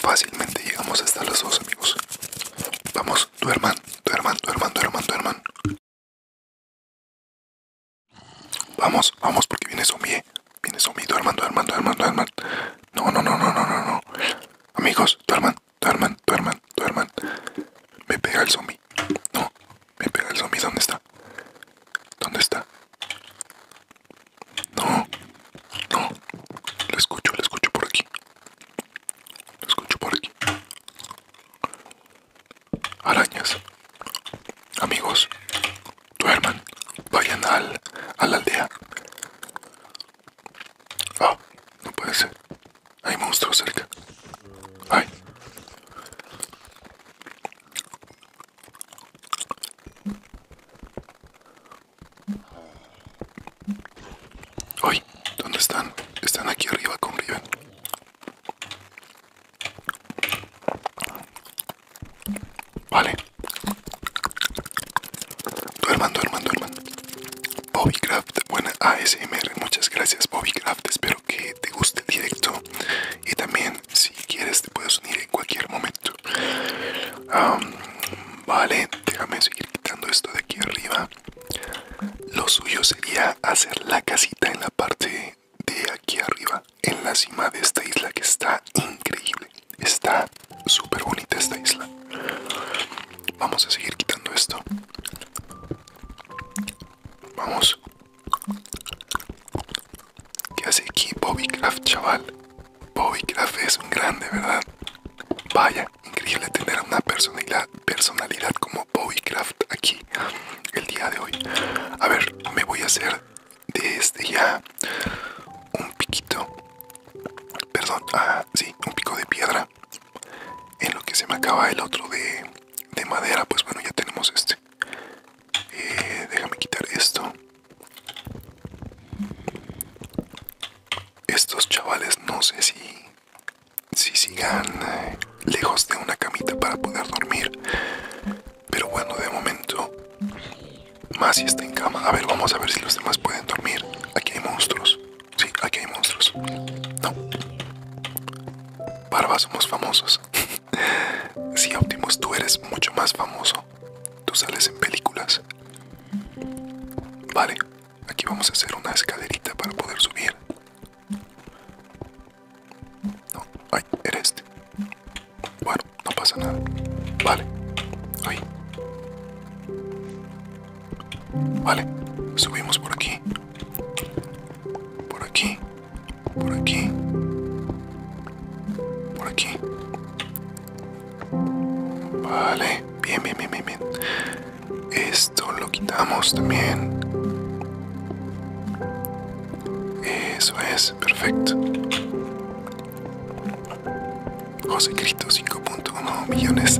Fácilmente llegamos hasta las 2, amigos. Vamos, tu tu duerman, tu hermano tu hermano Vamos, vamos, porque viene zombie. Eh. Viene zombie, hermano hermano hermano hermano No, no, no, no, no, no, no. Amigos, tu hermano duerman, duerman, duerman. Me pega el zombie. No, me pega el zombie. ¿Dónde está? ¿Dónde está? No, no. Lo escucho, lo escucho por aquí. Lo escucho por aquí. Arañas. Amigos, duerman. Vayan al, a la aldea. Ah, no puede ser. Hay monstruos cerca. Ay. Ay, ¿dónde están? Están aquí arriba con Riven. Vale. Duerman, duerman, duerman. Bobbycraft, buena ASMR, muchas gracias Bobbycraft, espero que te guste el directo y también si quieres te puedes unir en cualquier momento. vale, déjame seguir quitando esto de aquí arriba. Lo suyo sería hacer la casita en la parte de aquí arriba, en la cima de esta isla que está increíble, está súper bonita esta isla. Vamos a seguir quitando esto. Vamos. ¿Qué hace aquí Bobby chaval? Bobby es un grande, ¿verdad? Vaya, increíble tener una personalidad, personalidad como Bobby aquí el día de hoy. A ver, me voy a hacer de este ya un piquito. Perdón, ah, sí, un pico de piedra en lo que se me acaba el otro de, madera pues bueno ya tenemos este eh, déjame quitar esto estos chavales no sé si si sigan eh, lejos de una camita para poder dormir pero bueno de momento más si está en cama a ver vamos a ver si los demás pueden dormir aquí hay monstruos Sí, aquí hay monstruos. No. Barba, somos famosos. sí, Optimus, tú eres mucho más famoso. Tú sales en películas. Vale, aquí vamos a hacer una escalerita para poder subir. No, ay, eres, este. Bueno, no pasa nada. Vale, ay. Vale, subimos por aquí. Por aquí. Por aquí. Por aquí. Vale, bien, bien, bien, bien, bien. Esto lo quitamos también. Eso es, perfecto. José Cristo 5 millones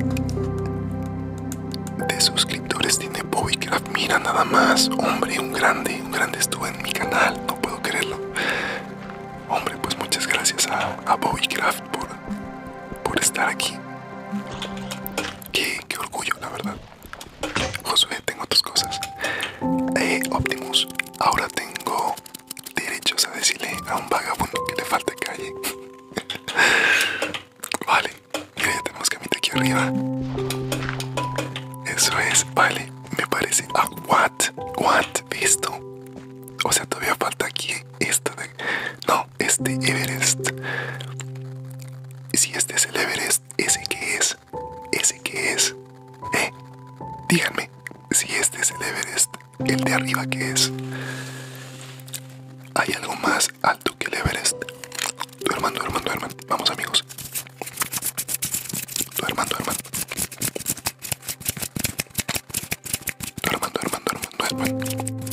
de suscriptores tiene Bobbycraft. Mira nada más, hombre, un grande, un grande estuvo en mi canal, no puedo creerlo. Hombre, pues muchas gracias a, a por, por estar aquí. Qué, orgullo, la verdad. Josué, tengo otras cosas. Eh, Optimus, ahora tengo derechos a decirle a un vagabundo que le falta calle. Vale, mira, ya tenemos camita aquí arriba. Eso es, vale, me parece. a ah, what? What? visto, O sea, todavía falta aquí esto de... No, este Everest. Si este es el Everest, ¿ese que es? ¿Ese que es? Eh, díganme, si este es el Everest, ¿el de arriba que es? ¿Hay algo más alto que el Everest. hermano, tu hermano. Vamos amigos. Tu tu hermano, Duerman, duerman. tu hermano, tu hermano.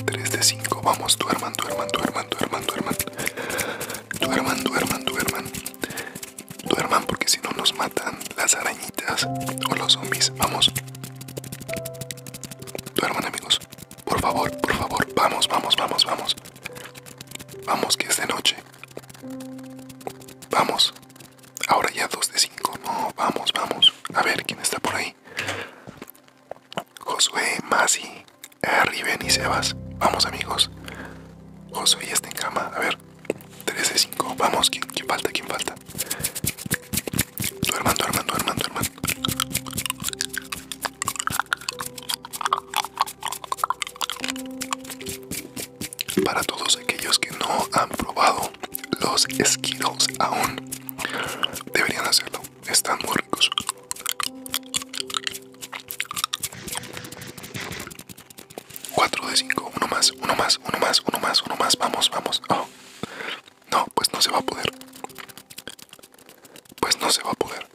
3 de 5. Vamos, Tu hermano, tu hermano. Tu hermano, tu hermano tu Duerman porque si no nos matan las arañitas o los zombies. Vamos. Tu Duerman amigos. Por favor, por favor, vamos, vamos, vamos, vamos. Vamos, que es de noche. Vamos. Ahora ya 2 de 5, No, vamos, vamos. A ver quién está por ahí. Josué, Masi, Riven y Sebas. Vamos, amigos. Josué ya está en cama. A ver. 3 de 5. Vamos, ¿quién, quién falta? ¿Quién falta? Duerman, duerman, duerman, duerman. Para todos aquellos que no han probado los Skittles aún, deberían hacerlo. Están muy ricos. 4 de 5, uno más, uno más, uno más, uno más, uno más. Vamos, vamos. Oh. No, pues no se va a poder. Pues no se va a poder.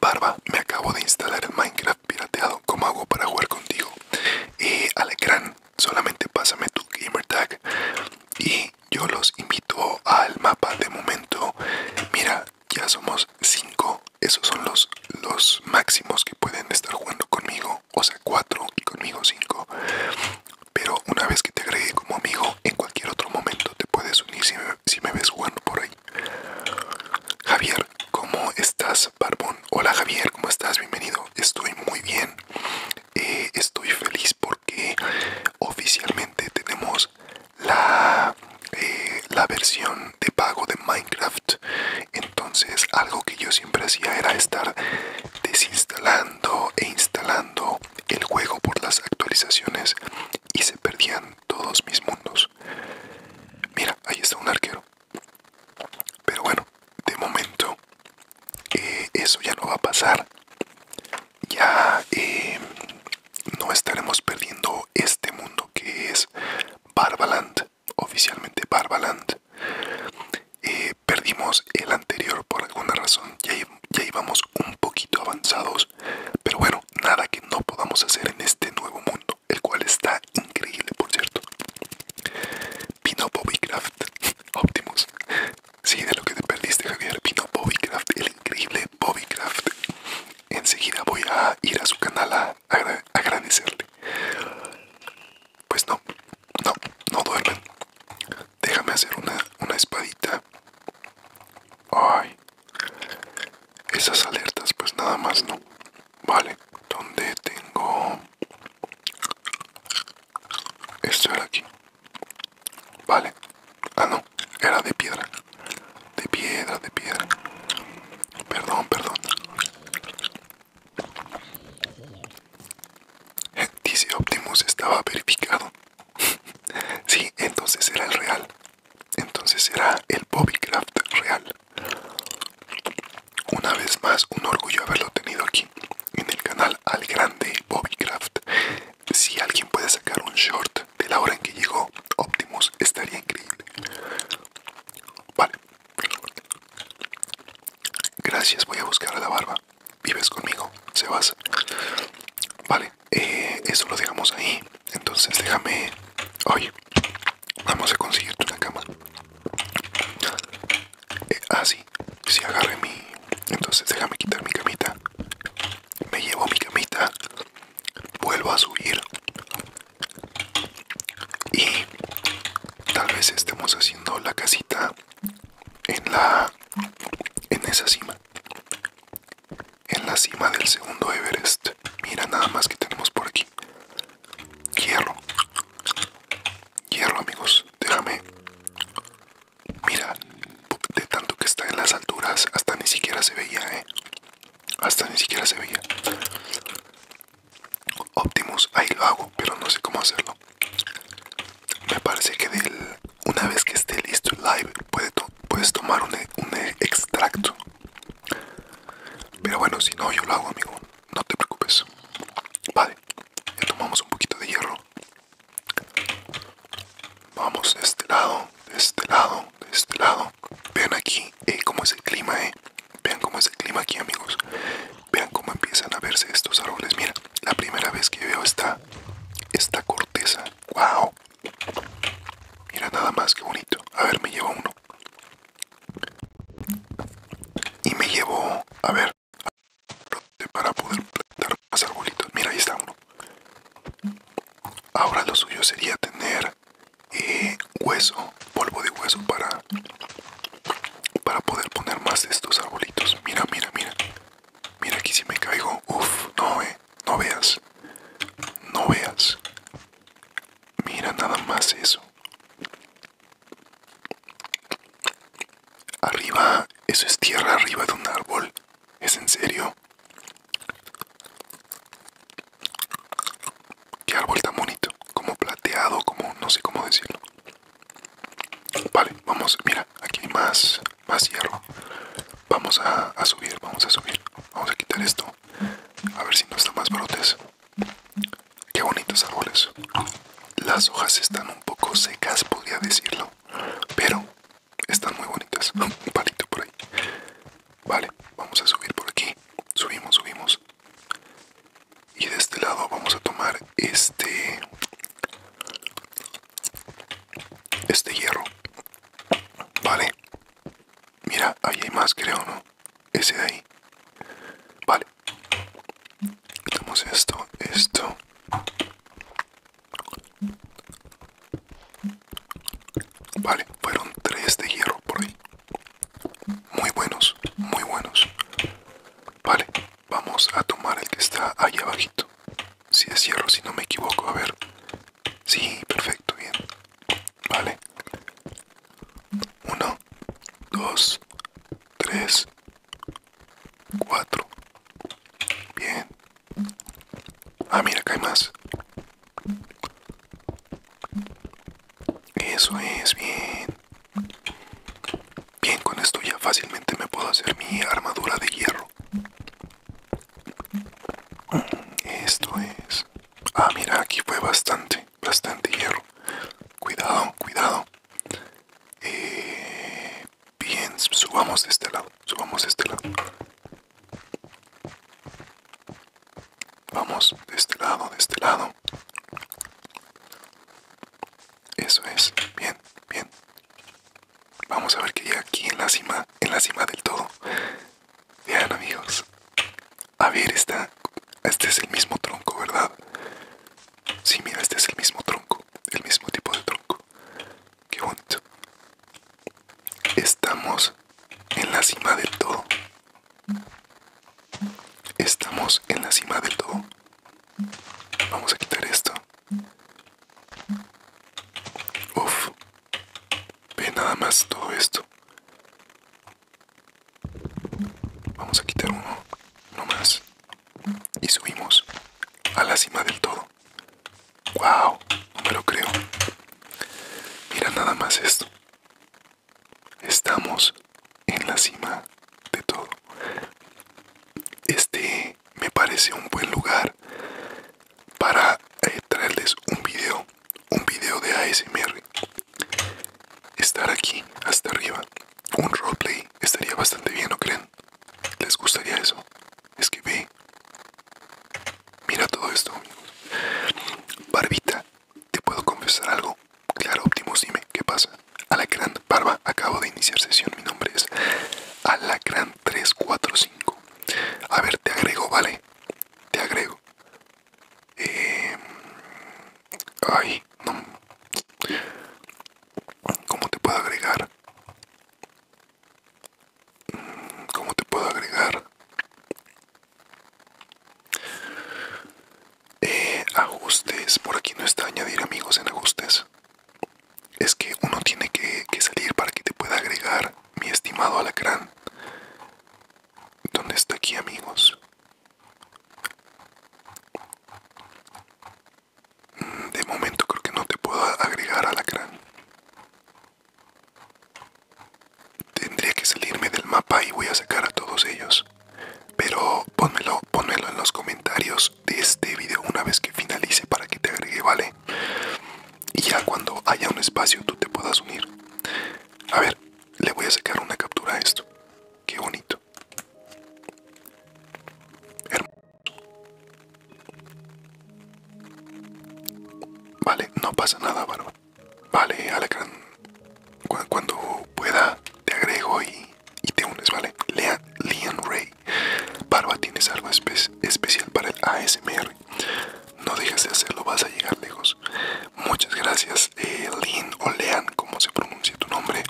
Barba, me acabo de instalar el Minecraft pirateado. ¿Cómo hago para jugar contigo? Y ecran solamente pásame tu gamer tag. Y yo los invito al mapa de momento. Mira, ya somos 5. Esos son los, los máximos que pueden estar jugando conmigo. O sea, 4 y conmigo 5. Pero una vez que te agregue como amigo, en cualquier otro momento te puedes unir si me, ves jugando por ahí. Javier, ¿cómo estás, Barbón? Hola Javier, ¿cómo estás? Bienvenido. Estoy muy bien. Eh, estoy feliz porque oficialmente tenemos la, eh, la versión de pago de Minecraft. Entonces, algo que yo siempre hacía era estar desinstalando e instalando el juego por las actualizaciones y se perdían todos mis mundos. Mira, ahí está un arquero. Pero bueno, de momento eh, eso ya no va a pasar. Ya eh, no estaremos perdiendo este mundo que es Barbaland, oficialmente Barbaland. Eh, perdimos el anterior por alguna razón. Ya, ya íbamos un poquito avanzados, pero bueno, nada que no podamos hacer en este nuevo mundo, el cual está increíble, por cierto. Vino Bobbycraft, Optimus. Sí, de lo que te perdiste, Javier. Vino Bobbycraft, el increíble Bobbycraft. Enseguida voy a ir a su canal a agradecerle. Pues no, no, no duermen. Déjame hacer una, espadita. Ay. Esas alertas, pues nada más no. Vale, ¿dónde tengo? Esto era aquí. Vale. Ah, no. Era de piedra. De piedra, de piedra. Perdón, perdón. Dice Optimus estaba verificado. Sí, entonces será el real. Entonces será el Craft real. Una vez más, un orgullo haberlo tenido aquí en el canal al grande Bobbycraft. Si alguien puede sacar un short de la hora en que llegó Optimus, estaría increíble. Vale. Gracias, voy a buscar a la barba vives conmigo, se vas Vale, eh, eso lo dejamos ahí. Entonces déjame... Oye, vamos a conseguirte una cama. así eh, ah, sí, agarre mi... Entonces déjame quitar mi camita. Me llevo mi camita. Vuelvo a subir. Y tal vez estemos haciendo la casita en la... en esa cima en la cima del segundo Everest. Mira nada más que tenemos por aquí. Hierro. Hierro amigos. Déjame. Mira. De tanto que está en las alturas hasta ni siquiera se veía, ¿eh? Hasta ni siquiera se veía. Optimus, ahí lo hago, pero no sé cómo hacerlo me parece que del, una vez que esté listo el live puedes tomar un, extracto. Pero bueno, si no, yo lo hago, amigo. No te preocupes. Vale, tomamos un poquito de hierro. Vamos de este lado, de este lado, de este lado. Vean aquí eh, cómo es el clima, eh. Vean cómo es el clima aquí, amigos. Vean cómo empiezan a verse estos árboles. Mira, la primera vez que veo esta, esta corteza. ¡Wow! Mira nada más que bonito. A ver, me llevo uno. Y me llevo, a ver, para poder plantar más arbolitos. Mira, ahí está uno. Ahora lo suyo sería tener eh, hueso, polvo de hueso para, para poder poner más de estos arbolitos. Mira, mira, mira. Mira aquí si me caigo. Uf, no, eh. No veas. No veas. Mira nada más eso. Arriba, eso es tierra arriba de un árbol. ¿Es en serio? ¿Qué árbol tan bonito? Como plateado, como no sé cómo decirlo. Vale, vamos, mira, aquí hay más. Más hierro Vamos a, subir, vamos a subir. Vamos a quitar esto. A ver si no están más brotes. Qué bonitos árboles. Las hojas están un poco secas, podría decirlo. Pero están muy bonitas. Un palito por ahí. Vale, vamos a subir por aquí. Subimos, subimos. Y de este lado vamos a tomar este... Este hierro. Vale. Mira, ahí hay más, creo, ¿no? Ese de ahí. Vale. Quitamos esto, esto. Vale, fueron tres de hierro por ahí. Muy buenos, muy buenos. Vale, vamos a tomar el que está ahí abajito. Si es hierro, si no me equivoco, a ver. Sí, perfecto, bien. Vale. 1, 2, 3, 4. Bien. Ah, mira, acá hay más. Eso es, bien. Bien, con esto ya fácilmente me puedo hacer mi armadura de hierro. Esto es... Ah, mira, aquí fue bastante, bastante hierro. Cuidado, cuidado. Eh, bien, subamos de este lado, subamos de este lado. Vamos de este lado, de este lado. Eso es, bien, bien. Vamos a ver que llega aquí en la cima, en la cima del todo. Vean amigos. A ver, está, este es el mismo tronco, ¿verdad? Sí, mira, este es el mismo tronco, el mismo tipo de tronco. Qué bonito. Estamos en la cima del todo. Estamos en la cima del todo. Vamos a quitar esto. Uf, ve nada más todo esto. Vamos a quitar uno, no más. Y subimos a la cima del todo. ¡Wow! No me lo creo. Mira nada más esto. Estamos en la cima de todo. Este me parece un buen lugar para eh, traerles un video, un video de ASMR. Estar aquí, hasta arriba, un roleplay estaría bastante bien, ¿no creen? ¿Les gustaría eso? Es que ve, mira todo esto, Barbita, ¿te puedo confesar algo? Claro, óptimo dime, ¿qué pasa? Alacrán, Barba, acabo de iniciar sesión, mi nombre es Alacrán345. A ver, te agrego, ¿vale? Te agrego. Eh, ay, no. ¿Cómo te puedo agregar? ¿Cómo te puedo agregar? Eh, ajustes. Por aquí no está añadir amigos en ajustes es que uno tiene que, salir para que te pueda agregar mi estimado alacrán. Donde está aquí, amigos? Mm, de momento creo que no te puedo agregar alacrán. Tendría que salirme del mapa y voy a sacar a todos ellos. Pero ponmelo ponmelo en los comentarios de este video una vez que finalice para que te agregue, ¿vale? y ya cuando haya un espacio tú te puedas unir. A ver, le voy a sacar una captura a esto. Qué bonito. Hermoso. Vale, no pasa nada, Barba. Vale, alegran cuando pueda, te agrego y, y te unes, ¿vale? Lean, Ray. Barba, tienes algo especial para el ASMR. No dejes de hacerlo, vas a llegar lejos. Muchas gracias, eh, Lynn o Lean, como se pronuncia tu nombre.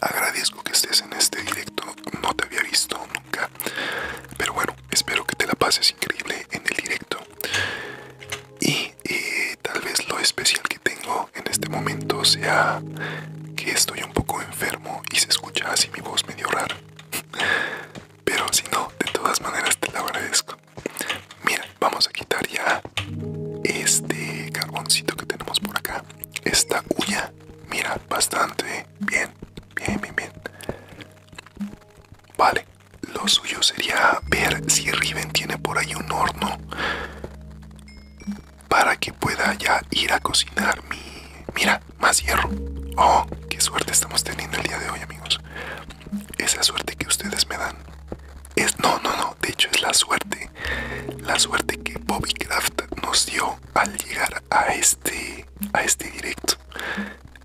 Agradezco que estés en este directo, no te había visto nunca. Pero bueno, espero que te la pases increíble en el directo. Y eh, tal vez lo especial que tengo en este momento sea que estoy un poco enfermo y se escucha así mi voz medio rara. Pero si no, de todas maneras te lo agradezco. Mira, vamos a quitar ya este carboncito que tenemos por acá. Esta cuya mira, bastante bien, bien, bien, bien. Vale, lo suyo sería ver si Riven tiene por ahí un horno para que pueda ya ir a cocinar mi... Mira, más hierro. Oh, qué suerte estamos teniendo el día de hoy, amigos. Esa suerte que ustedes me dan es no, no, no, de hecho es la suerte, la suerte que Bobby Craft nos dio al llegar a este a este directo.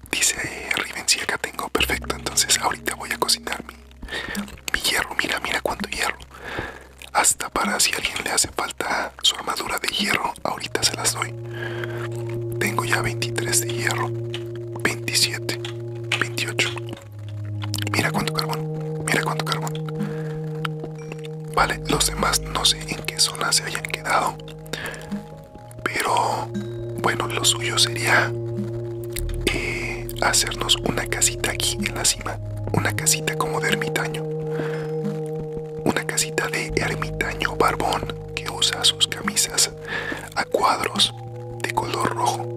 Dice eh, Riven, si acá tengo perfecto, entonces ahorita voy a cocinar mi, mi hierro, mira, mira cuánto hierro. Hasta para si alguien le hace falta su armadura de hierro ahorita se las doy. Tengo ya 23 de hierro, 27, 28. Mira cuánto carbón, mira cuánto carbón. Vale, los demás no sé en qué zona se hayan quedado. Pero bueno, lo suyo sería eh, hacernos una casita aquí en la cima. Una casita como de ermitaño. Una casita de ermitaño barbón que usa sus camisas a cuadros de color rojo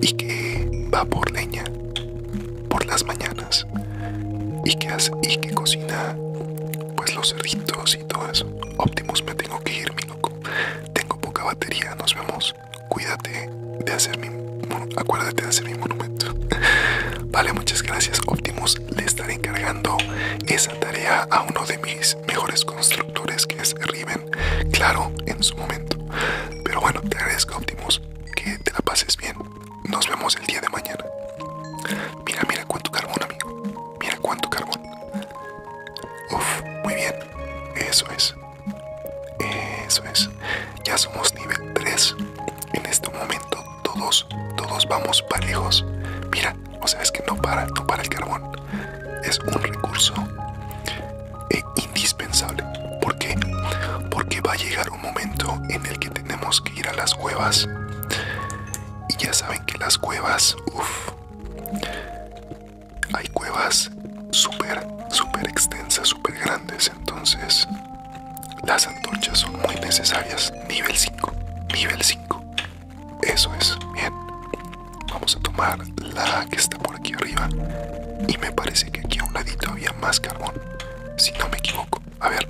y que va por leña por las mañanas y que, hace, y que cocina pues los cerditos y todo eso. Optimus, me tengo que ir, mi loco. Tengo poca batería, nos vemos. Cuídate de hacer mi... Acuérdate de hacer mi monumento. Vale, muchas gracias, Optimus le estaré encargando esa tarea a uno de mis mejores constructores que es Riven, claro, en su momento. Pero bueno, te agradezco Optimus, que te la pases bien. Nos vemos el día de mañana. Mira, mira cuánto carbón, amigo. Mira cuánto carbón. Uf, muy bien. Eso es. Eso es. Ya somos nivel 3 en este momento todos, todos vamos parejos. Mira, o sea, es que no para, no para el carbón. Es un recurso eh, indispensable. porque, qué? Porque va a llegar un momento en el que tenemos que ir a las cuevas. Y ya saben que las cuevas, uff, hay cuevas súper, súper extensas, súper grandes. Entonces, las antorchas son muy necesarias. Nivel 5, nivel 5. Eso es, bien. Vamos a tomar la que está por aquí arriba. Y me parece que aquí a un ladito había más carbón. Si no me equivoco. A ver.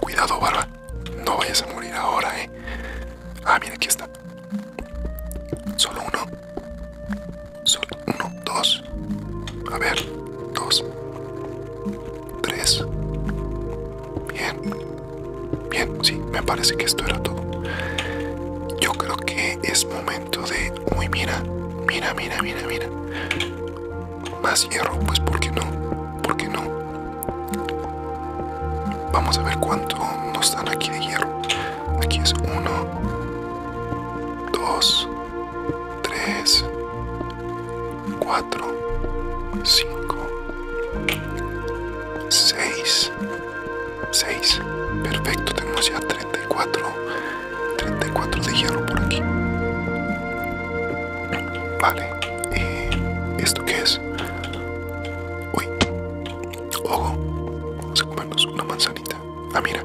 Cuidado, barba. No vayas a morir ahora, eh. Ah, mira, aquí está. Solo uno. Solo uno, dos. A ver, dos. 3 Bien. Bien, sí, me parece que esto era todo. Yo creo que es momento de... Uy, mira, mira, mira, mira, mira. Más hierro, pues ¿por qué no? ¿Por qué no? Vamos a ver cuánto nos dan aquí de hierro. Aquí es uno, dos, tres, 4, 5, 6, 6. Perfecto, tenemos ya 34, 34 de hierro por aquí. Vale, eh, ¿esto que es? Uy, ojo, vamos a comernos una manzanita. Ah, mira,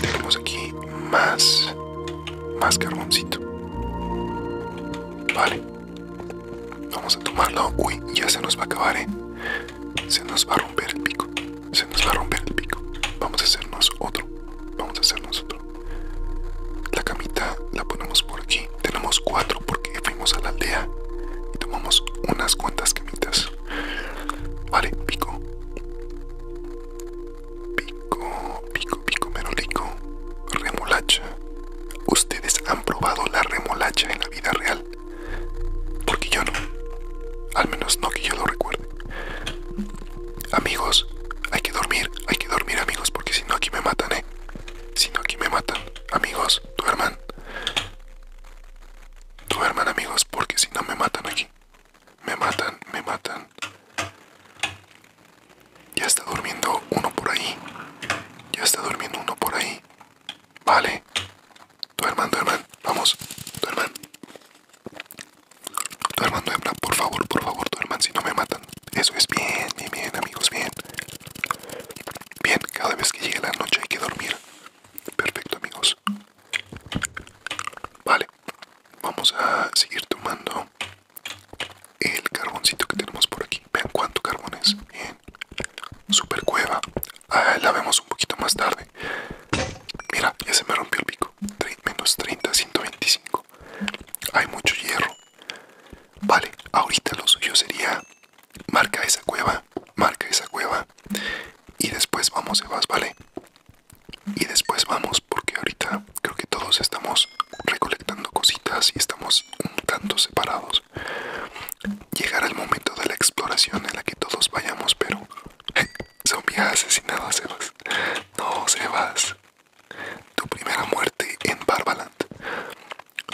tenemos aquí más, más carboncito. Vale. Vamos a tomarlo. Uy, ya se nos va a acabar, ¿eh? Se nos va a romper el pico. Se nos va a romper el pico. Vamos a hacernos otro. Vamos a hacernos otro. La camita la ponemos por aquí. Tenemos cuatro porque fuimos a la aldea y tomamos unas cuantas camitas. Vale, pico pico, pico, pico, merolico, remolacha. ¿Ustedes han probado la remolacha en la vida real? Porque yo no. Al menos no que yo lo recuerde. Amigos, hay que dormir, hay que dormir amigos, porque si no aquí me matan, ¿eh? Si no aquí me matan. Amigos, duerman. Duerman amigos, porque si no me matan aquí. Me matan, me matan. Ya está durmiendo uno por ahí. Ya está durmiendo uno por ahí. Vale. Duerman, duerman. Vamos. Duerman. Duerman, hermano, Por favor, por favor, duerman. Si no me matan. Eso es bien, bien, bien, amigos. Bien. Bien, cada vez que llegue la noche hay que dormir. Perfecto, amigos. Vale. Vamos a seguir tomando el carboncito que tenemos por aquí. Vean cuánto carbón es. Super cueva. Ah, la vemos un poquito más tarde. Mira, ya se me rompió el pico. menos 30, 125. Hay mucho hierro. Vale, ahorita lo suyo sería marca esa cueva, marca esa cueva y después vamos Evas, ¿vale? Y después vamos porque ahorita creo que todos estamos recolectando cositas y estamos un tanto separados. Llegará el momento de la exploración en la que todos vayamos, pero... Zombie asesinado, Sebas. No, Sebas. Tu primera muerte en Barbaland.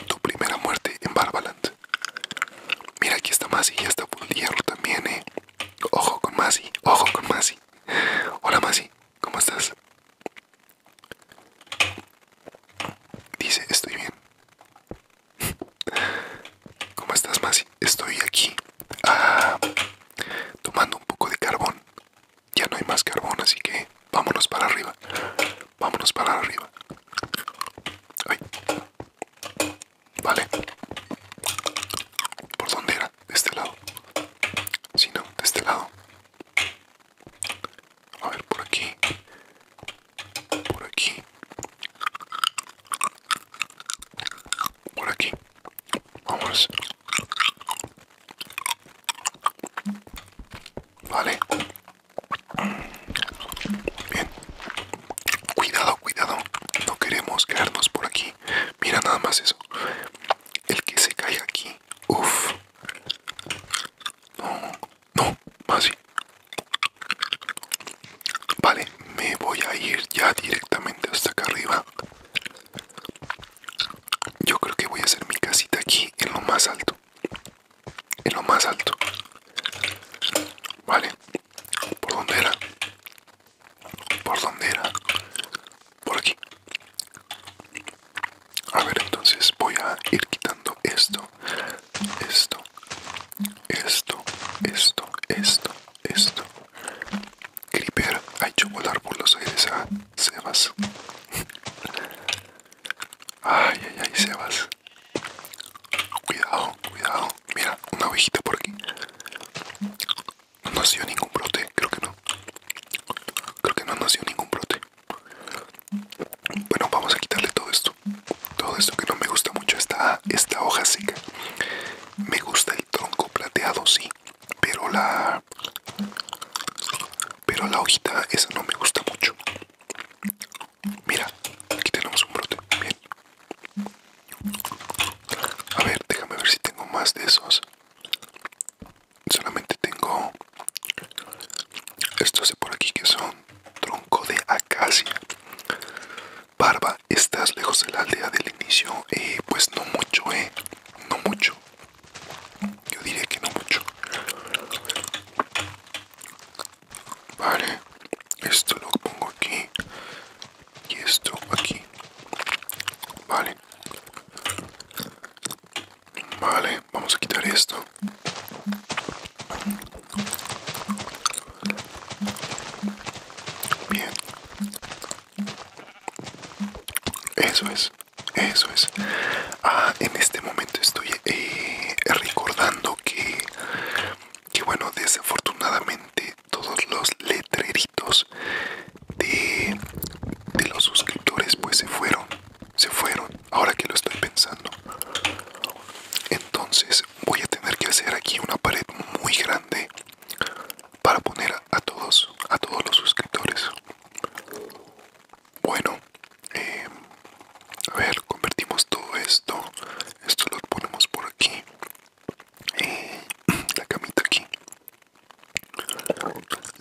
Tu primera muerte en Barbaland. Mira, aquí está Masi, ya está Hierro también, eh. Ojo con Masi, ojo con Masi. Hola, Masi. ¿Cómo estás? Dice, estoy bien. ¿Cómo estás, Masi? Estoy aquí ah, tomando un poco de carbón. Ya no hay más carbón, así que vámonos para arriba. Vámonos para arriba. Ay. Vale. ¿Por dónde era? De este lado. Si no, de este lado. A ver, por aquí. Por aquí. Por aquí. Vamos. Vale. Bien. Cuidado, cuidado. No queremos quedarnos por aquí. Mira nada más eso. El que se caiga aquí. Uff. No, no, así. Vale, me voy a ir ya directamente hasta acá arriba. Yo creo que voy a hacer mi casita aquí en lo más alto. En lo más alto. Vale. ¿Por dónde era? ¿Por dónde era? por aquí a ver entonces voy a ir quitando esto esto esto esto esto esto creeper ha hecho volar por los aires a ah, Sebas ay ay ay Sebas cuidado cuidado mira una ovejita por aquí no nació ningún brote creo que no creo que no nació ningún brote bueno, vamos a quitarle todo esto. Todo esto que no me gusta mucho, esta, esta hoja seca. Me gusta el tronco plateado, sí. Pero la... Pero la hojita esa no me gusta mucho. Mira, aquí tenemos un brote. Bien. A ver, déjame ver si tengo más de esos solamente tengo estos de por aquí que son tronco de acacia barba estás lejos de la aldea del inicio eh, pues no mucho eh no mucho yo diría que no mucho vale esto lo pongo aquí y esto aquí vale Vale, vamos a quitar esto. Bien. Eso es, eso es. Ah, en este momento estoy eh, recordando que, que, bueno, desafortunadamente todos los letreritos de, de los suscriptores pues se fueron se fueron, ahora que lo estoy pensando. Entonces voy a tener que hacer aquí una pared muy grande para poner a todos, a todos los suscriptores. Bueno, em, a ver, convertimos todo esto. Esto lo ponemos por aquí. Eh, la camita aquí.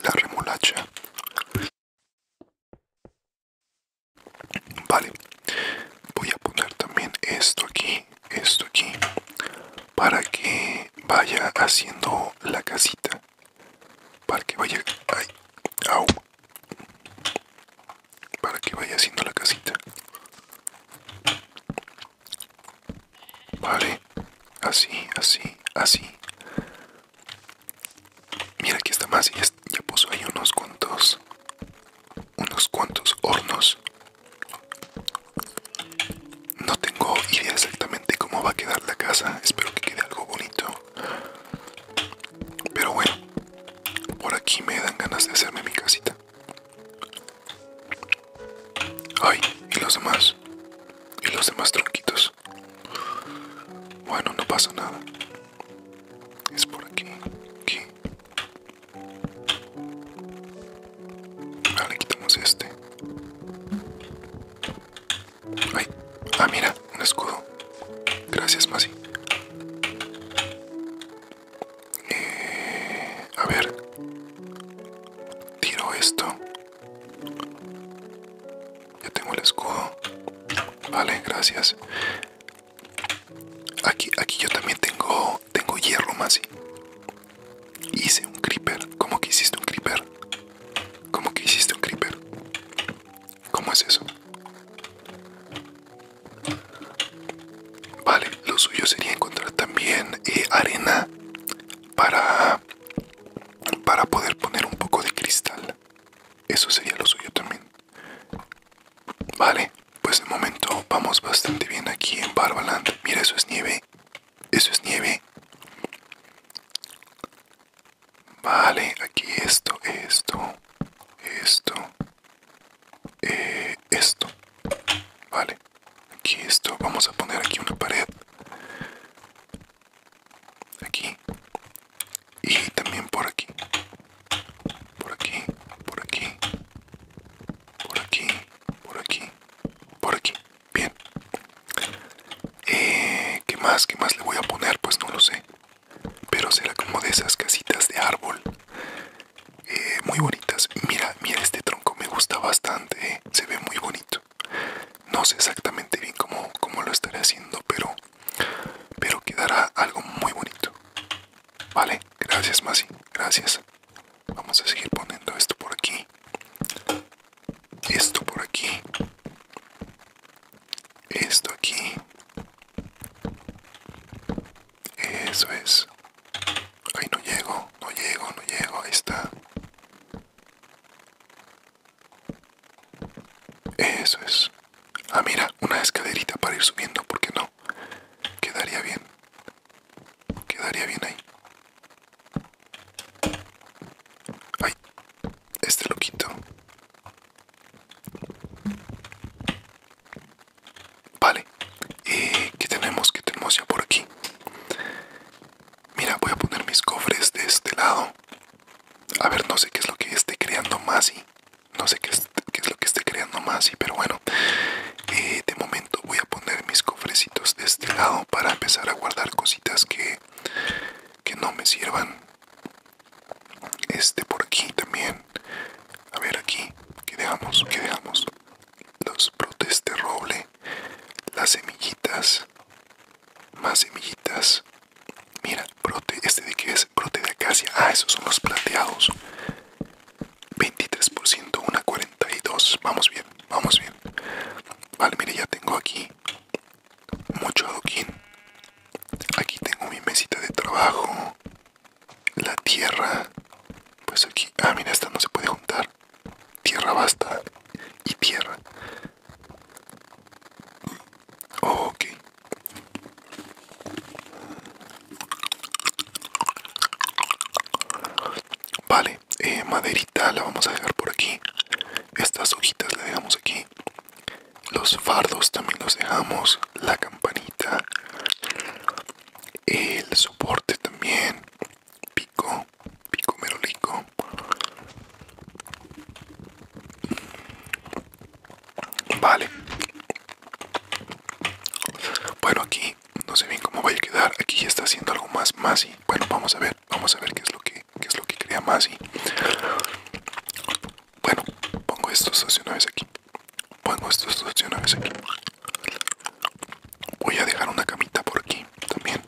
La remolacha. Vale, voy a poner también esto aquí, esto aquí, para que vaya haciendo la casita, para que vaya, ay, au, para que vaya haciendo la casita. Vale, así, así, así. Mira, aquí está más. Ya, ya puso ahí unos cuantos. Unos cuantos hornos. No tengo idea exactamente cómo va a quedar la casa. Espero que quede algo bonito. Pero bueno, por aquí me dan ganas de hacerme mi casita. Ay, y los demás. Y los demás tronquitos. Bueno, no pasa nada. Es por aquí, aquí. Vale, quitamos este. Ay, ah, mira, un escudo. Gracias, Masi. Eh, a ver, tiro esto. Ya tengo el escudo. Vale, gracias. Aquí, aquí yo también tengo, tengo hierro, Masi. Hice un creeper. ¿Cómo que hiciste un creeper? ¿Cómo que hiciste un creeper? ¿Cómo es eso? Vale, lo suyo sería encontrar también eh, arena para, para poder poner un poco de cristal. Eso sería lo suyo también. Vale, pues de momento vamos bastante bien aquí en Barbaland. Mira, eso es nieve. Eso es nieve. Vale, aquí esto, esto, esto, eh, esto. Vale, aquí esto. Vamos a poner aquí una pared aquí y también por aquí por aquí por aquí por aquí por aquí por aquí bien eh, qué más qué más le voy a poner pues no lo sé pero será como de esas casitas de árbol eh, muy bonitas mira mira este tronco me gusta bastante eh. se ve muy bonito no sé exactamente bien cómo, lo estaré haciendo, pero, pero quedará algo muy bonito. Vale, gracias Masi, gracias. Vamos a seguir poniendo esto por aquí. Esto por aquí. Esto aquí. Eso es. Ay, no llego, no llego, no llego. Ahí está. Eso es. Ah, mira, una escalerita para ir subiendo, porque no. Quedaría bien. Quedaría bien ahí. Ay, este lo quito. Vale. ¿Qué tenemos? que tenemos ya por aquí? Mira, voy a poner mis cofres de este lado. A ver, no sé qué es lo que esté creando más y No sé qué es, lo que esté creando más Masi, pero bueno. Eh, de momento voy a poner mis cofrecitos de este lado para empezar a guardar cositas que, que no me sirvan. Este por aquí también. A ver aquí. ¿Qué dejamos? ¿Qué dejamos? Los brotes de roble. Las semillitas. Más semillitas. Mira, brote, este de qué es brote de acacia. Ah, esos son los plateados. 23%, una 42. Vamos bien, vamos bien. Vale, mire, ya tengo aquí mucho adoquín. Aquí tengo mi mesita de trabajo. La tierra. Pues aquí. Ah, mira, esta no se puede juntar. Tierra basta. Y tierra. Ok. Vale, eh, maderita la vamos a dejar por aquí. Estas hojitas la dejamos aquí. Los fardos también los dejamos. La campanita. El soporte también. Pico. Pico merolico. Vale. Bueno, aquí no sé bien cómo vaya a quedar. Aquí ya está haciendo algo más y Bueno, vamos a ver. Vamos a ver qué es lo que, qué es lo que crea Masi. Bueno, pongo estos dos aquí. Pongo estos dos aquí. Voy a dejar una camita por aquí también.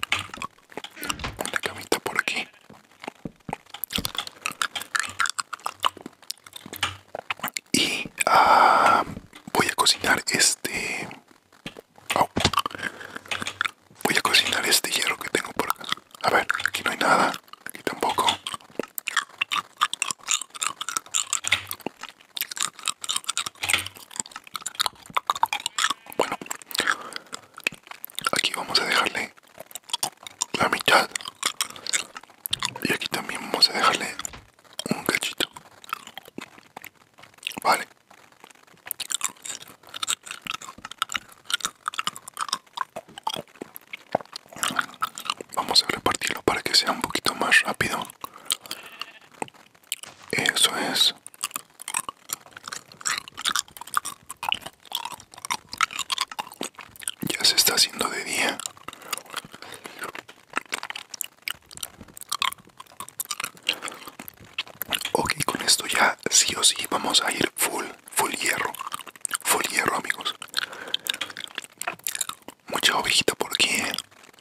Una camita por aquí. Y ah, voy a cocinar este... Voy a cocinar este hierro que tengo por acá. A ver, aquí no hay nada. Aquí tampoco. Bueno, Aquí vamos a dejarle la mitad. Y aquí también vamos a dejarle un cachito. Vale. Vamos a repartirlo para que sea un poquito más rápido. Eso es. Ya se está haciendo de día. Ok, con esto ya sí o sí vamos a ir full, full hierro. Full hierro, amigos. Mucha ovejita por aquí, ¿eh?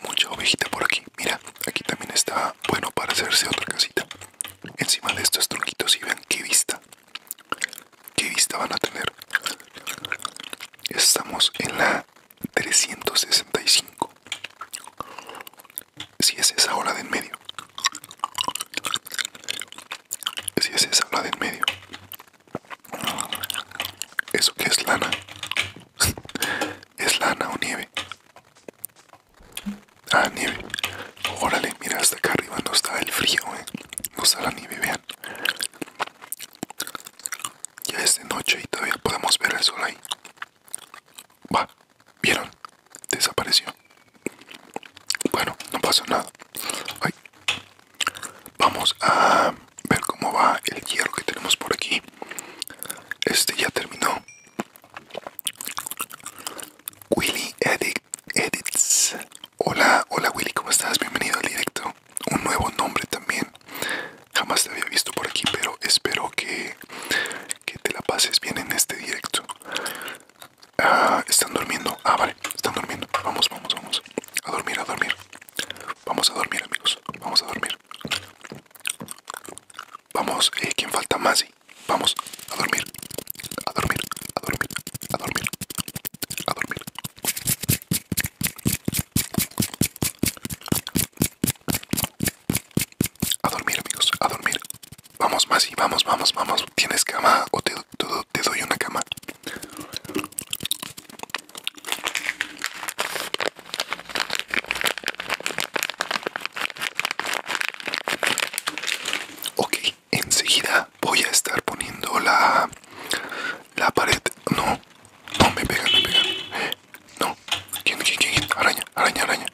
mucha ovejita por aquí. Mira, aquí también está bueno para hacerse otra casita. Encima de estos tronquitos y ven qué vista. ¿Qué vista van a tener? Estamos en la 365. Si es esa hora de en medio. Si es esa hora de en medio. ¿Eso que es lana? ¿Es lana o nieve? Ah, nieve. Órale, mira, hasta acá arriba no está el frío, eh. No está la nieve, vean. Ya es de noche y todavía podemos ver el sol ahí. Va, ¿vieron? Desapareció. Bueno, no pasó nada. Vamos a ver cómo va el hierro que tenemos por aquí. Este ya terminó. Willy Eddie Edits. Hola, hola Willy, ¿cómo estás? Bienvenido al directo. Un nuevo nombre también. Jamás te había visto por aquí, pero espero que, que te la pases bien en este directo. Ah, están durmiendo. Ah, vale, están durmiendo. Vamos, vamos, vamos. A dormir, a dormir. Vamos a dormir, amigos. Vamos a dormir. Vamos, eh, ¿quién falta más? Vamos a dormir, a dormir, a dormir, a dormir, a dormir. A dormir amigos, a dormir. Vamos más y vamos, vamos, vamos. ¿Tienes cama o te, te doy una cama? Ok, enseguida voy a estar poniendo la la pared no no me pegan me pegan no quién quién quién araña araña araña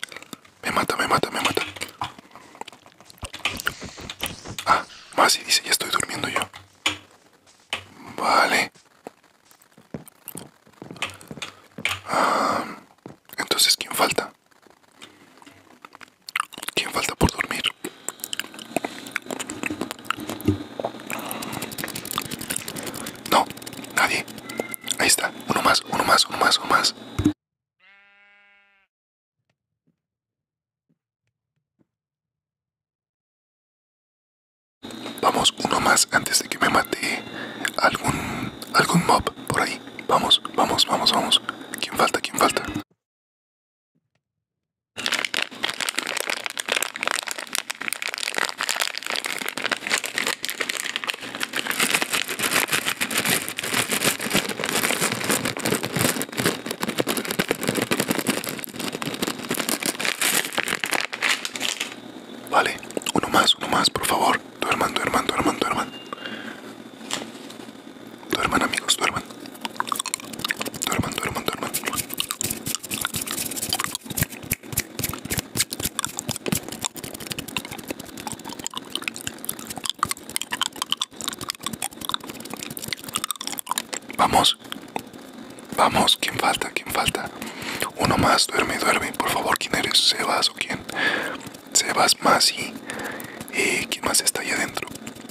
me mata me mata me mata ah más y dice ya estoy durmiendo yo vale ah, entonces quién falta ¿Quién falta por dormir? No, nadie. Ahí está. Uno más, uno más, uno más, uno más. Vamos, uno más antes de que me mate algún algún mob por ahí. Vamos, vamos, vamos, vamos. ¿Quién falta? ¿Quién falta? Vale, uno más, uno más, por favor. Duerman, hermano duerman, hermano Duerman amigos, duerman. Duerman, duerman, duerman. Vamos. Vamos, ¿quién falta? ¿Quién falta? Uno más, duerme, duerme. Por favor, ¿quién eres? ¿Sebas o quién? Sebas más y... Eh, ¿Quién más está ahí adentro?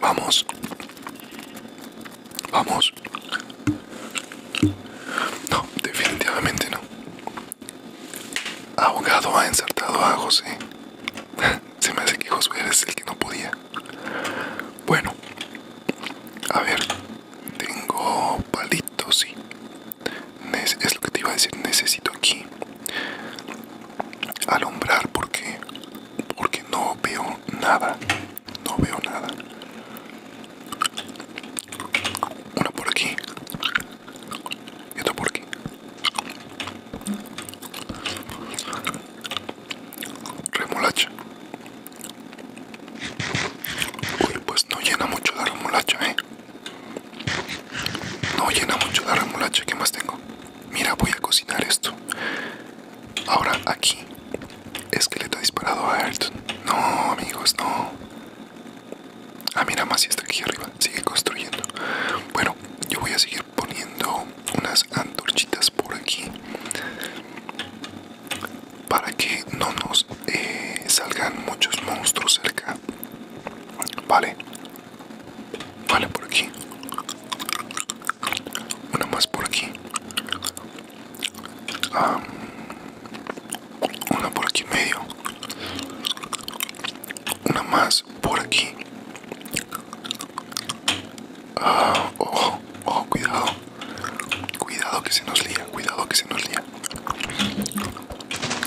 Vamos. Vamos. No, definitivamente no. Abogado ha ensartado a José. Se me hace que José es el que no podía. Bueno. A ver. Tengo palitos, sí. Es lo que te iba a decir. Necesito aquí alumbrar porque porque no veo nada. No veo nada. Una por aquí. Y otra por aquí. Remolacha. Uy, pues no llena mucho de remolacha, eh. No llena mucho de remolacha. ¿Qué más tengo? mira, voy a cocinar esto. Ahora aquí es que le disparado a Elton. No, amigos, no. Ah, mira, más si está aquí arriba. Sigue construyendo. Bueno, yo voy a seguir poniendo unas antorchitas por aquí. Para que no nos eh, salgan muchos monstruos cerca. Vale. Vale, por aquí una más por aquí una por aquí en medio una más por aquí ah, oh, cuidado cuidado que se nos lía cuidado que se nos lía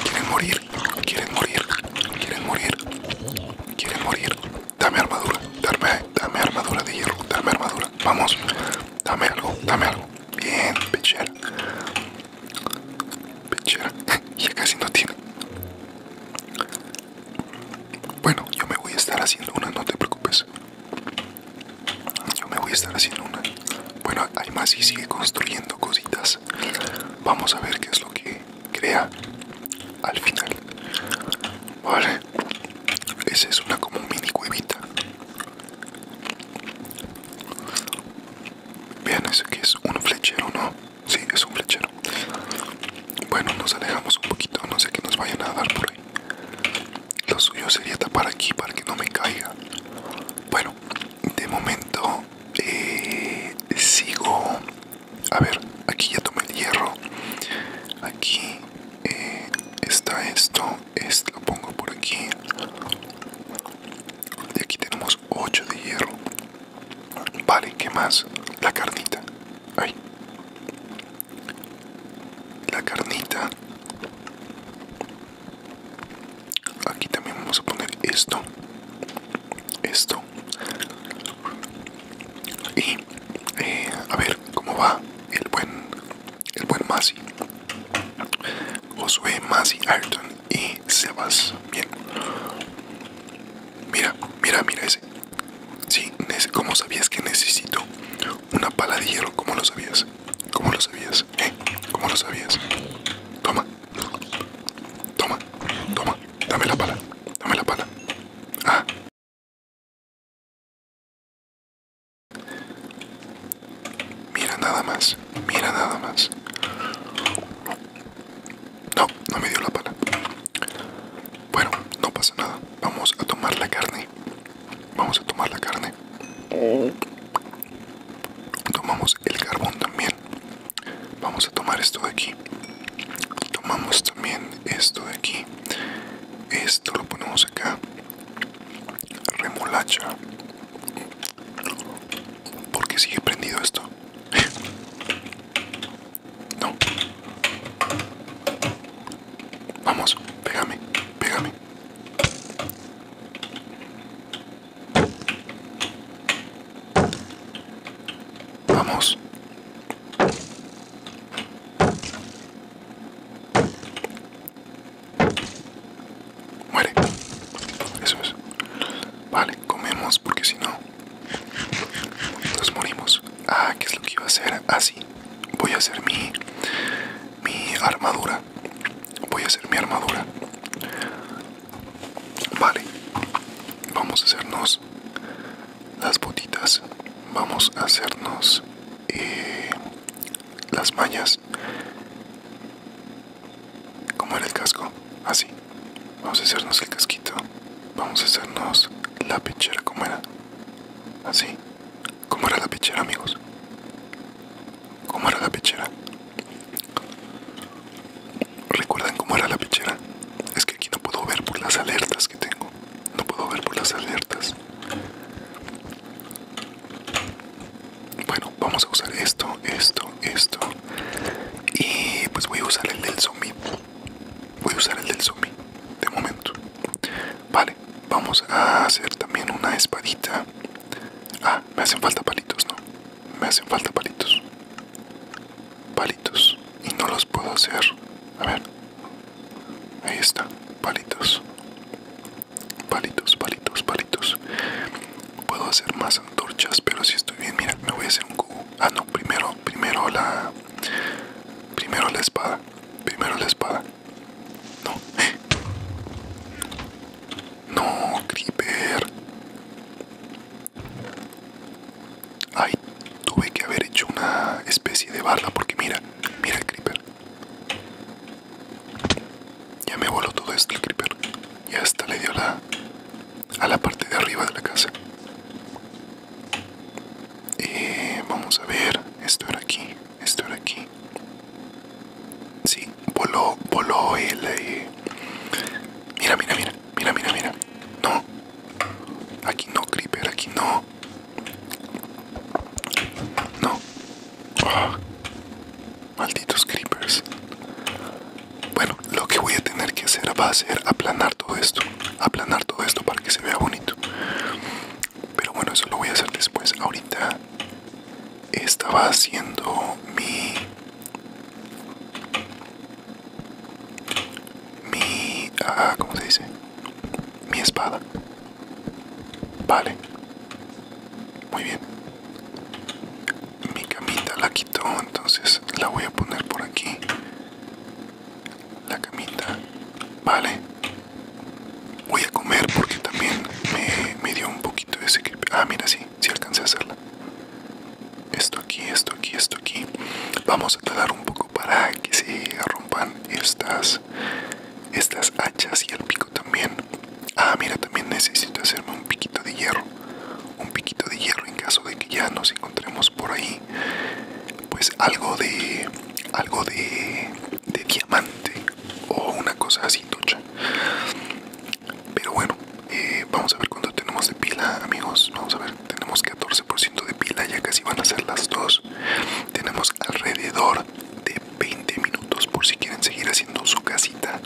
quieren morir quieren morir quieren morir quieren morir dame armadura, dame, armadura de hierro, dame armadura, vamos, dame algo, dame algo, bien, pechera, pechera, ya casi no tiene. Bueno, yo me voy a estar haciendo una, no te preocupes. Yo me voy a estar haciendo una. Bueno, hay más y sigue construyendo cositas. Vamos a ver qué es lo que crea al final. Vale. Esa es una como mini cuevita. Vean eso que es un flechero, ¿no? Sí, es un flechero. Bueno, nos alejamos un poquito, no sé qué nos vayan a dar por ahí. Lo suyo sería tapar aquí para que no me caiga. Bueno, de momento eh, sigo... A ver, aquí ya tomé el hierro. Aquí eh, está esto esto lo pongo por aquí y aquí tenemos 8 de hierro vale qué más la carnita Ay. la carnita aquí también vamos a poner esto esto y eh, a ver cómo va el buen el buen Masi Josué Masi Ayrton y se va bien mira mira mira ese sí cómo sabías que necesito una pala de hierro cómo lo sabías cómo lo sabías ¿Eh? cómo lo sabías toma toma toma dame la pala dame la pala ah Mira nada más, mira nada más. No, no me dio la pala. Bueno, no pasa nada. Vamos a tomar la carne. Vamos a tomar la carne. Tomamos el carbón también. Vamos a tomar esto de aquí. Tomamos también esto de aquí. Esto lo ponemos acá. Remolacha. Porque sigue prendido esto. No. Vamos, pégame, pégame. Vamos. Muere. Eso es. Vale, comemos porque si no, nos morimos. Ah, ¿qué es lo que iba a hacer? Ah, sí. Voy a hacer mi, mi armadura. Voy a hacer mi armadura. Vale. Vamos a hacernos las botitas. Vamos a hacernos y las mallas como era el casco así ah, vamos a hacernos el casquito vamos a hacernos la pechera como era así ah, como era la pechera amigos como era la pechera recuerdan cómo era la pechera es que aquí no puedo ver por las alertas que tengo no puedo ver por las alertas bueno, vamos a usar esto, esto, esto. Y pues voy a usar el del zombie. Voy a usar el del zombie. De momento. Vale, vamos a hacer también una espadita. Ah, me hacen falta palitos, ¿no? Me hacen falta palitos. Palitos. Y no los puedo hacer. A ver. Ahí está, palitos. Palitos, palitos, palitos. Puedo hacer más antorchas, pero si estoy bien, mira, me voy a hacer un cubo. Ah, no, primero, primero la... Primero la espada. Primero la espada. No. No, creeper. Ay, tuve que haber hecho una especie de barla porque mira, mira, el creeper. Ya me voló todo esto el creeper. Ya hasta le dio la a la parte de arriba de la casa. Eh, vamos a ver, esto era aquí, esto era aquí. Sí, voló, voló el... Eh, mira, mira, mira, mira, mira, mira. No. Aquí no, creeper, aquí no. No. Ah. Malditos creepers. Bueno, lo que voy a tener que hacer va a ser aplanar todo esto. Aplanar todo esto para que se vea bonito. Pero bueno, eso lo voy a hacer después. Ahorita estaba haciendo mi... Mi... Ah, ¿Cómo se dice? mi espada. Vale. Muy bien. Mi camita la quito entonces la voy a poner por aquí. La camita. Vale. Voy a comer porque también me, dio un poquito de secreto. Ah, mira, si, alcancé a hacerla. Esto aquí, esto aquí, esto aquí. Vamos a dar un poco para que se rompan estas estas hachas y el pico también. Ah, mira, también necesito hacerme un piquito de hierro. Un piquito de hierro en caso de que ya nos encontremos por ahí. Pues algo de. algo de. de diamante. O una cosa así tocha. Pero bueno, eh, vamos a ver cuánto tenemos de pila, amigos. Vamos a ver, tenemos 14% de pila, ya casi van a ser las dos tenemos alrededor de 20 minutos por si quieren seguir haciendo su casita.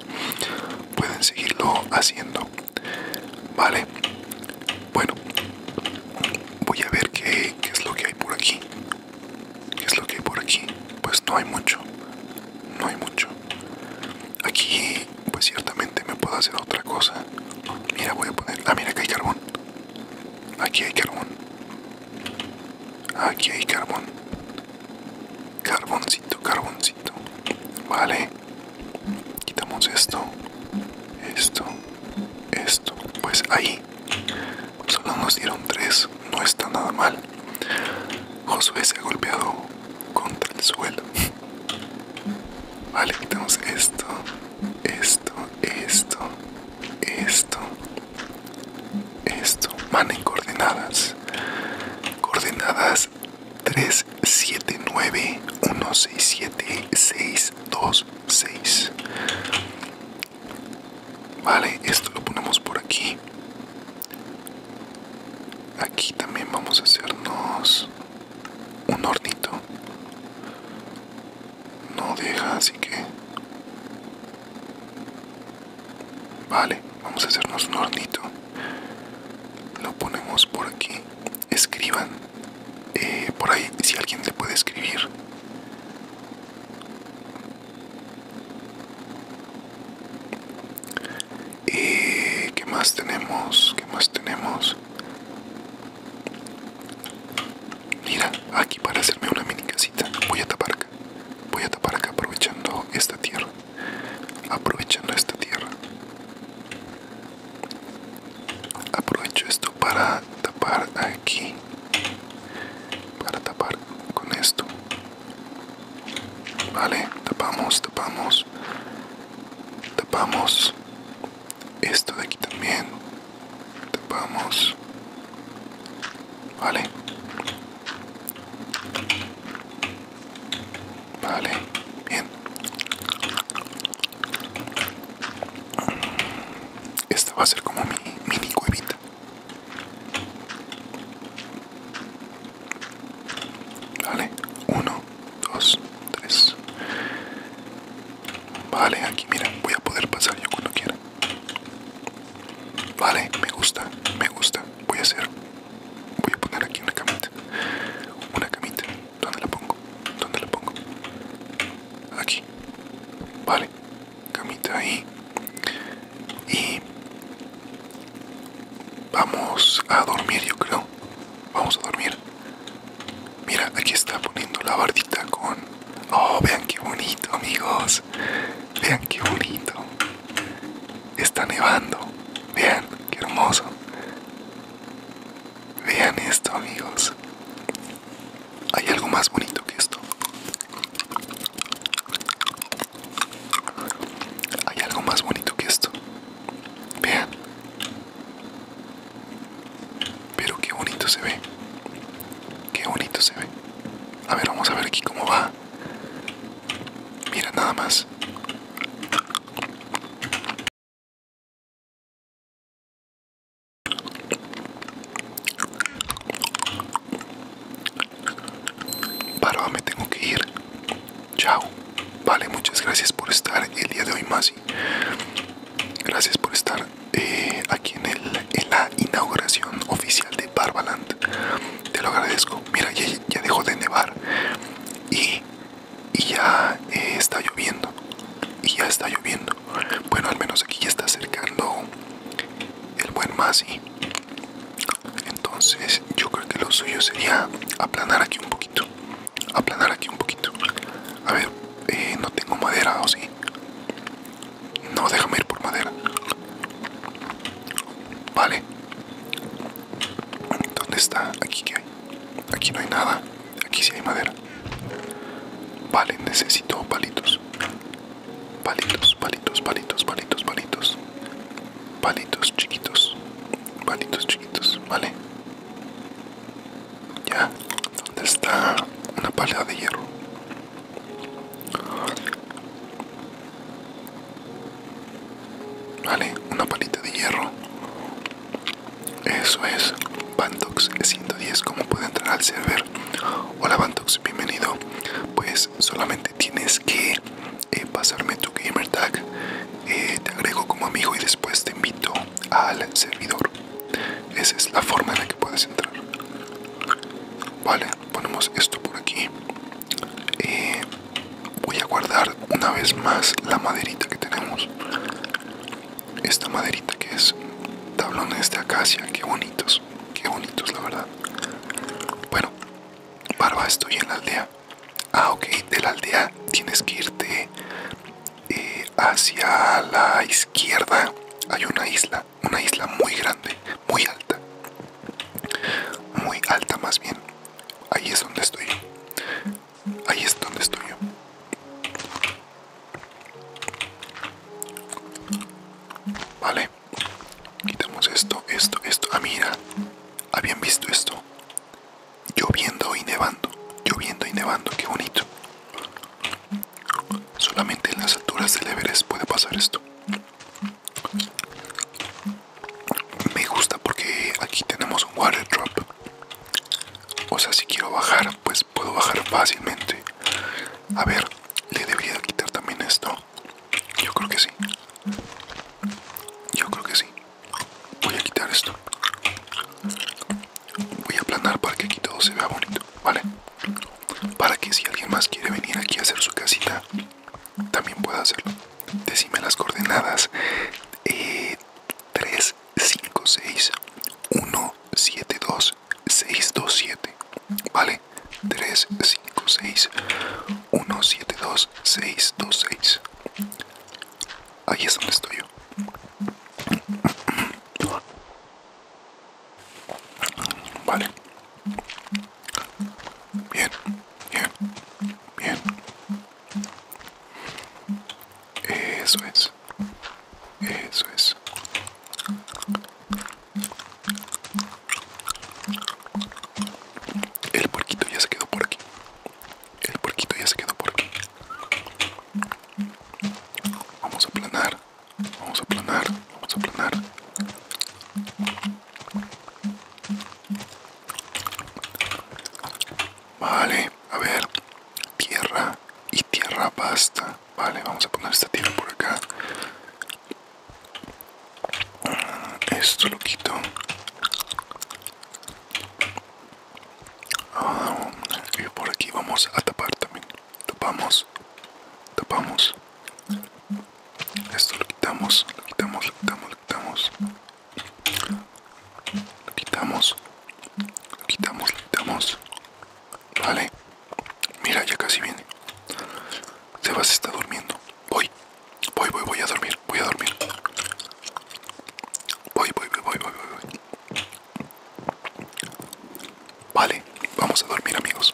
Pueden seguirlo haciendo. Vale. Bueno. Voy a ver qué, es lo que hay por aquí. ¿Qué es lo que hay por aquí? Pues no hay mucho. No hay mucho. Aquí pues ciertamente me puedo hacer otra cosa. Mira, voy a poner... Ah, mira, aquí hay carbón. Aquí hay carbón. Aquí hay carbón. Carboncito, carboncito. Vale. Quitamos esto. Esto. Esto. Pues ahí. Solo nos dieron tres. No está nada mal. Josué se ha golpeado contra el suelo. Vale, quitamos esto. Esto. Esto. Esto. Esto van en coordenadas. Coordenadas 379-167-626. Vale, esto lo ponemos por aquí. Aquí también vamos a hacernos un hornito no deja, así que... Vale, vamos a hacernos un hornito. Lo ponemos por aquí. Escriban. Eh, por ahí, si alguien le puede escribir. Eh, ¿Qué más tenemos? ¿Qué más tenemos? Mira, aquí para hacerme una mini casita voy a tapar acá. Voy a tapar acá aprovechando esta tierra. Aprovechando esta tierra. Aprovecho esto para tapar aquí. Para tapar con esto. Vale, tapamos, tapamos. Tapamos. Esto de aquí también vamos vale vale bien esta va a ser como mi mini cuevita vale 1 dos, tres vale aquí mira voy a poder pasar yo cuando quiera Vale, me gusta, me gusta. Voy a hacer, voy a poner aquí una camita. Una camita. ¿Dónde la pongo? ¿Dónde la pongo? Aquí. Vale, camita ahí. Y vamos a dormir, yo creo. Vamos a dormir. Mira, aquí está poniendo la bardita con Oh, vean qué bonito, amigos. Vean qué bonito. Está nevando. Vean, qué hermoso. Vean esto, amigos. Hay algo más bonito que esto. Hay algo más bonito que esto. Vean. Pero qué bonito se ve. Qué bonito se ve. A ver, vamos a ver aquí cómo va. Mira nada más. paro me tengo que ir. Chao. Vale, muchas gracias por estar el día de hoy, Masi. Gracias por estar. Eh, aquí en, el, la inauguración oficial de Barbaland. Te lo agradezco. Mira, ya, dejó de nevar y, ya eh, está lloviendo. Y ya está lloviendo. Bueno, al menos aquí ya está acercando el buen Masi. Entonces, yo creo que lo suyo sería aplanar aquí un poquito. Aplanar aquí un poquito. A ver, eh, no tengo madera o sí. No, déjame ir por madera. Vale. ¿Dónde está? Aquí qué hay. Aquí no hay nada. Aquí sí hay madera. Vale, necesito palitos. Palitos, palitos, palitos, palitos, palitos. Palitos chiquitos. Palitos chiquitos, vale. Ya. ¿Dónde está una pala de hierro? Vale, una palita de hierro. Eso es. Bantox 110, ¿cómo puede entrar al server? Hola Bantox, bienvenido. Pues solamente tienes que eh, pasarme tu gamer tag. Eh, te agrego como amigo y después te invito al servidor. Esa es la forma en la que puedes entrar. Vale, ponemos esto por aquí. Eh, voy a guardar una vez más la maderita que tenemos. Esta maderita que es tablones de acacia, qué bonitos, qué bonitos la verdad. Bueno, barba, estoy en la aldea. Ah, ok, de la aldea tienes que irte eh, hacia la izquierda. Hay una isla una isla muy grande, muy alta, muy alta más bien. Ahí es donde estoy. Ahí es donde estoy yo. Vale. Quitamos esto, esto, esto. Ah, mira. Habían visto esto. Lloviendo y nevando. Lloviendo y nevando. Qué bonito. Solamente en las alturas del Everest puede pasar esto. Me gusta porque aquí tenemos un water drop. O sea, si quiero bajar, pues puedo bajar fácilmente. A ver, le debería quitar también esto. Yo creo que sí. Yo creo que sí. Voy a quitar esto. Voy a aplanar para que aquí todo se vea bonito, ¿vale? para que si alguien más quiere venir aquí a hacer su casita también pueda hacerlo decime las coordenadas eh, 3 5 6 1 7 2 6 2 7 vale 3 5 6 1 7 2 6 2 6 ahí es donde estoy yo Vale. Bien, bien, bien. Eso es. Eso es. El porquito ya se quedó por aquí. El porquito ya se quedó por aquí. Vamos a aplanar. Vamos a aplanar, vamos a aplanar. Vale, a ver. Tierra y tierra basta. Vale, vamos a poner esta tierra por acá. Ah, esto lo quito. Ah, por aquí vamos a tapar también tapamos, tapamos. Esto lo quitamos, lo quitamos, lo quitamos, lo quitamos. Lo quitamos, lo quitamos, lo quitamos. Vale. Mira, ya casi viene. Sebas está durmiendo. Voy, voy, voy, voy a dormir, voy a dormir. Voy, voy, voy, voy, voy, voy. Vale, vamos a dormir amigos.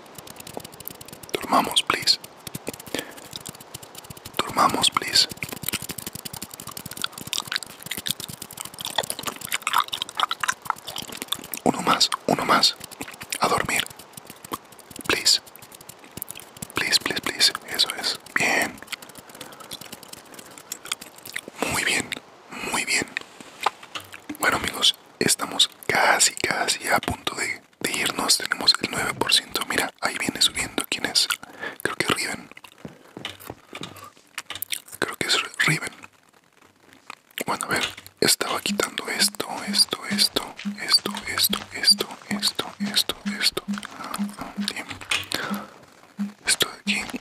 Dormamos, please. Dormamos, please. Uno más, uno más. A dormir. Please. Please, please, please. Eso es. Bien. Muy bien, muy bien. Bueno amigos estamos casi, casi a punto de, irnos. Tenemos el 9%. Mira, ahí viene subiendo. ¿Quién es? Creo que Riven. Creo que es Riven. Bueno, a ver, estaba quitando esto, esto, esto, esto, esto, esto, esto, esto, esto. Esto de aquí.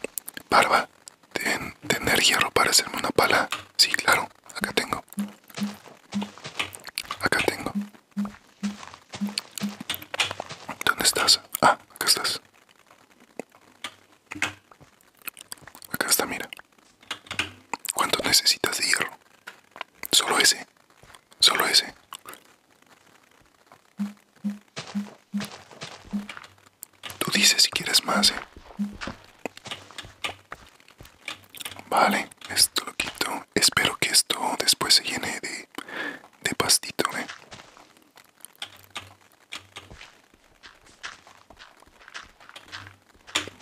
Barba, de tener hierro para hacerme una pala. Sí, claro, acá tengo. Acá tengo. ¿Dónde estás? Ah, acá estás. Acá está, mira. ¿Cuánto necesitas de hierro? Solo ese. Solo ese. Tú dices si quieres más, ¿eh? Vale, esto lo quito. Espero que esto después se llene de, pastito, ¿eh?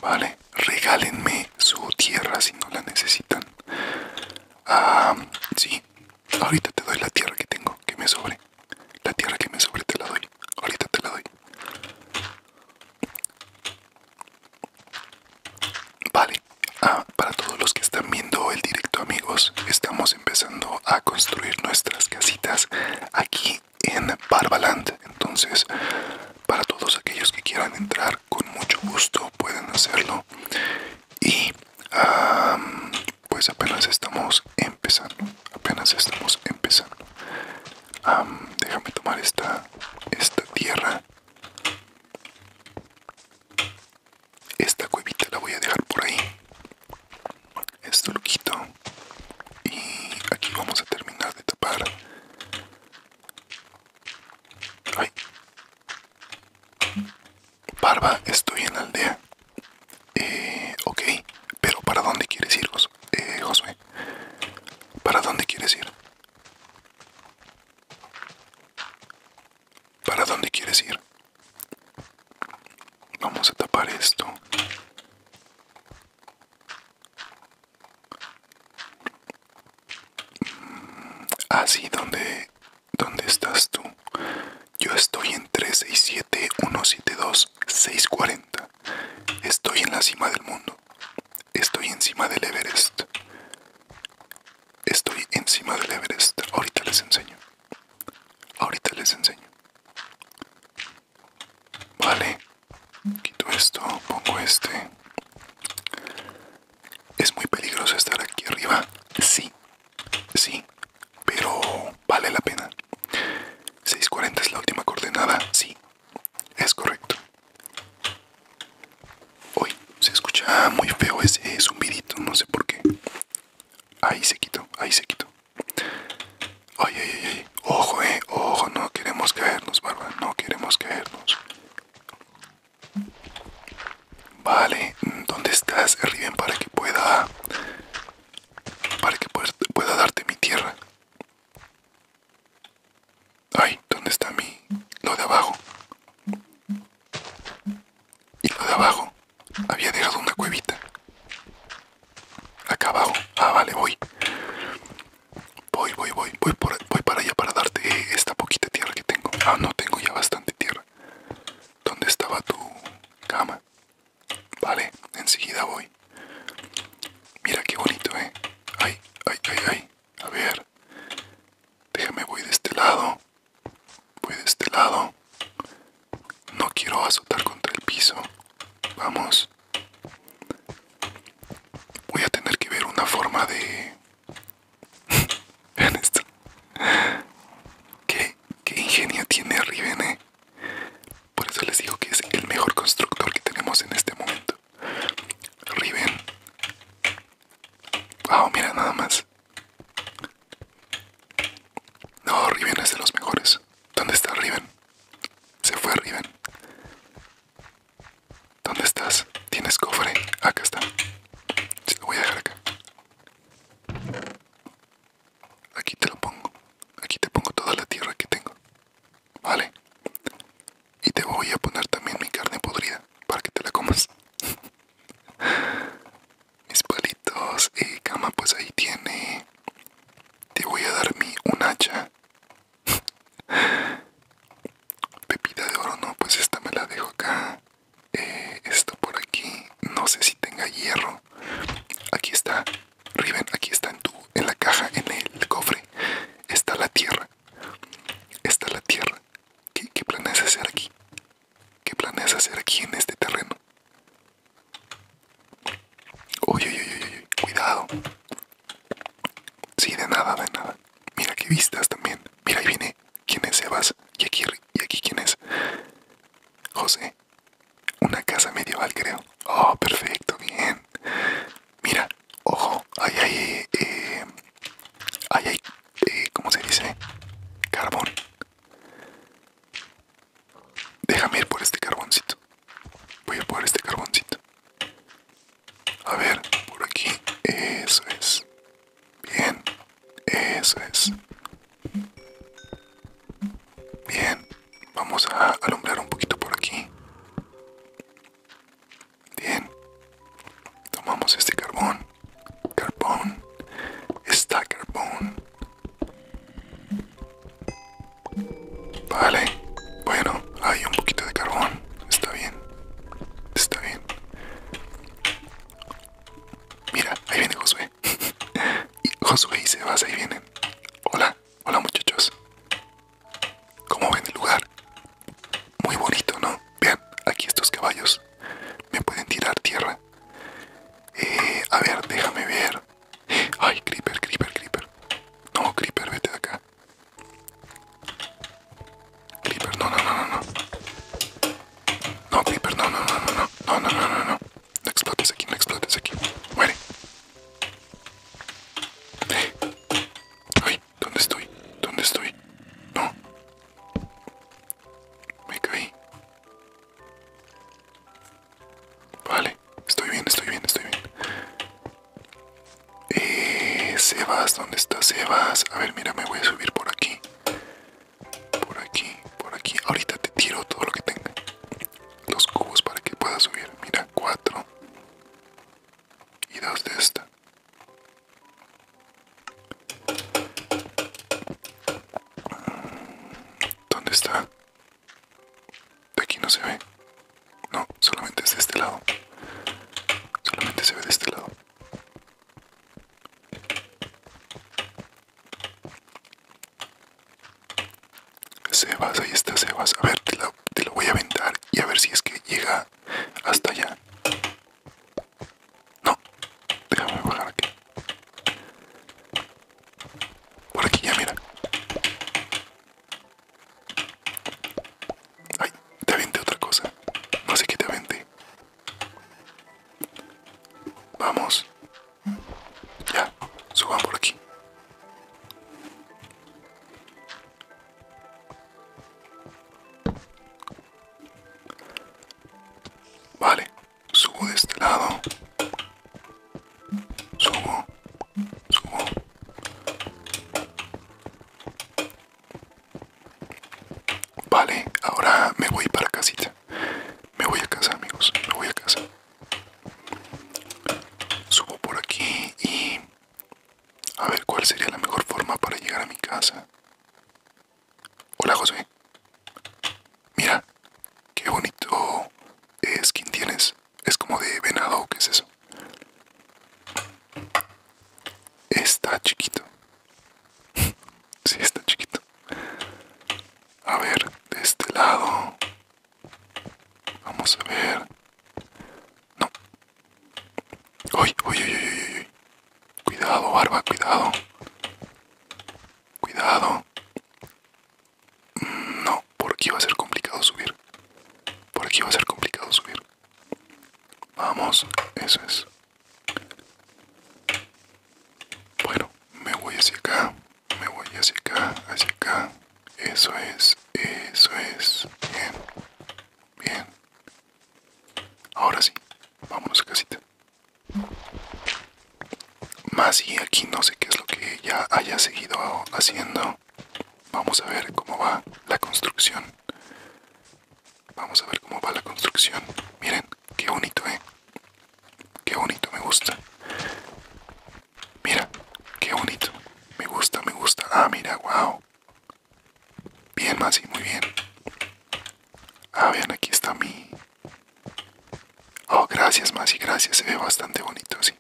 Vale, regálenme su tierra si no la necesitan. Ah, sí, ahorita te doy la tierra que tengo, que me sobre. La tierra que me sobre te la doy. Ahorita te la doy. Vale, ah, para todos los que están viendo el directo amigos, estamos empezando a construir nuestras casitas aquí en Barbaland. Entonces, para todos aquellos que quieran entrar, con mucho gusto pueden hacerlo. Y pues apenas estamos empezando, apenas estamos empezando déjame tomar esta, esta tierra. Esta cuevita la voy a dejar por ahí. Esto lo quito. Y aquí vamos a terminar de tapar. Ay. Barba, estoy en la aldea. Eh, ok, pero ¿para dónde quieres ir, eh, Josué, ¿para dónde quieres ir? ¿Para dónde quieres ir? Vamos a tapar esto. Mm, así, donde ¿dónde, estás tú? Yo estoy en 367 seis cuarenta. Estoy en la cima del mundo. Estoy encima del Everest. Estoy encima del Everest. Ahorita les enseño. Ahorita les enseño. Vale. Quito esto, pongo este. Es muy peligroso estar aquí arriba. Sí. Sí. Pero vale la pena. 640 es la última coordenada. Sí. Es correcto. Uy, se escucha muy feo ese zumbidito, no sé por qué. Ahí se quitó, ahí se quitó. Ay, Ojo, eh, ojo, no queremos caernos, barba, no queremos caernos. Vale, ¿dónde estás, Riven, para que pueda... Para que pueda darte mi tierra? Ay, ¿dónde está mi... lo de abajo? Y lo de abajo. Había dejado una cuevita. Acá abajo. Ah, vale, voy. Voy, voy, voy. Voy, por, voy para allá para darte esta poquita tierra que tengo. Ah, no, tengo ya bastante tierra. ¿Dónde estaba tu cama? Vale, enseguida voy. Mira qué bonito, eh. Ay, ay, ay, ay. A ver. Déjame voy de este lado. Voy de este lado. No quiero azotar contra el piso. Vamos. Voy a tener que ver una forma de... Vean esto. ingenio tiene Riven, ¿eh? Por eso les digo que es el mejor constructor que tenemos en este momento. Riven. Ah, mira nada más. No, Riven es de los mejores. ¿Dónde está Riven? Se fue Riven. ¿Dónde estás? ¿Tienes cofre? Acá está. Se lo voy a dejar acá. Aquí te lo pongo. Aquí te pongo toda la tierra que tengo. ¿Vale? Y te voy a poner también mi carne podrida para que te la comas. Mis palitos y cama, pues ahí tiene. Te voy a dar mi un hacha. Pepita de oro, no, pues esta me la dejo acá. Eh, esto por aquí, no sé si tenga hierro. Aquí está, Riven, aquí está en tu, en la caja, en el cofre está la Tierra. Está la Tierra. ¿Qué, planes hacer aquí? ¿Qué planes hacer aquí en este terreno? Uy, uy, uy, cuidado. Sí, de nada, de nada. Mira qué vistas también. Mira, ahí viene. ¿Quién es Sebas? ¿Y aquí, y aquí quién es? José. Una casa medieval, creo. Oh, perfecto, bien. Mira, ojo, ahí hay, eh, ahí hay, eh, ¿cómo se dice? Carbón. Déjame ir por este carboncito. Voy a por este carboncito. A ver, por aquí. Eso es. Bien. Eso es. Bien. Vamos a alumbrar un poquito por aquí. Bien, tomamos este carbón, carbón, está carbón. Vale, bueno, hay un poquito de carbón, está bien, está bien. Mira, ahí viene Josué. y Josué y Sebas, ahí vienen. Hola, hola muchachos. Como ven el lugar, muy bonito, ¿no? Vean, aquí estos caballos me pueden tirar tierra. a ver, déjame ver. Ay, Creeper, Creeper, Creeper. No, Creeper, vete de acá. Creeper, no, no, no, no, no. No, Creeper, no, no, no, no, no, no, no, no, no, no. No aquí, no explotes aquí. Muere, Ay, ¿dónde estoy? ¿Dónde estoy? No. Me caí. Vale, estoy bien, estoy bien, estoy bien. Eh, Sebas, ¿dónde está Sebas? A ver, mira, me voy a subir por aquí. Por aquí, por aquí. Ahorita te tiro todo lo que tenga. Los cubos para que puedas subir. Mira, cuatro y dos de esta. ¿Dónde está? De aquí no se ve. No, solamente es de este lado. Solamente se ve de este lado. Sebas, ahí está se Sebas. A ver, te lo, te lo voy a aventar y a ver si es que llega hasta allá. No, déjame bajar aquí. Por aquí ya, mira. Ay, te aventé otra cosa. No sé te aventé. Vamos. Ya, suban por aquí. Vale, subo de este lado. Subo, subo. Vale, ahora me voy para casita. Me voy a casa, amigos. Me voy a casa. Subo por aquí y a ver cuál sería la mejor forma para llegar a mi casa. Hola José. Mira, qué bonito skin tienes. Es como de venado qué es eso. Está chiquito. si está chiquito. A ver, de este lado. Vamos a ver. No. Uy, uy, Cuidado, barba, cuidado. Cuidado. Mm, no, porque va a ser complicado subir. Porque va a ser complicado subir. Vamos, eso es. Bueno, me voy hacia acá. Me voy hacia acá, hacia acá. Eso es, eso es. Bien. Bien. Ahora sí, vámonos a casita. Más y aquí no sé qué es lo que ya haya seguido haciendo. Vamos a ver cómo va la construcción. Vamos a ver cómo va la construcción. Miren, qué bonito, ¿eh? Qué bonito, me gusta. Mira, qué bonito. Me gusta, me gusta. Ah, mira, wow. Bien, Masi, muy bien. Ah, vean, aquí está mi... Oh, gracias, Masi, gracias. Se ve bastante bonito, sí.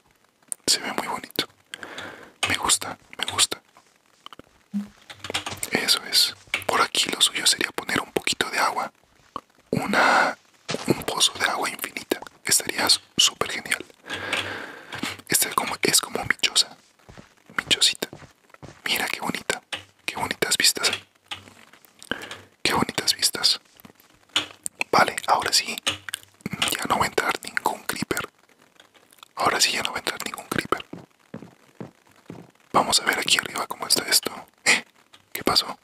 Se ve muy bonito. Me gusta, me gusta. Eso es. Por aquí lo suyo sería poner un poquito de agua. Una... Un pozo de agua infinita. Estaría súper genial. Este es como, es como mi choza mi Mira qué bonita, qué bonitas vistas Qué bonitas vistas. Vale, ahora sí, ya no va a entrar ningún creeper. Ahora sí ya no va a entrar ningún creeper. Vamos a ver aquí arriba cómo está esto. ¿Eh? ¿Qué pasó?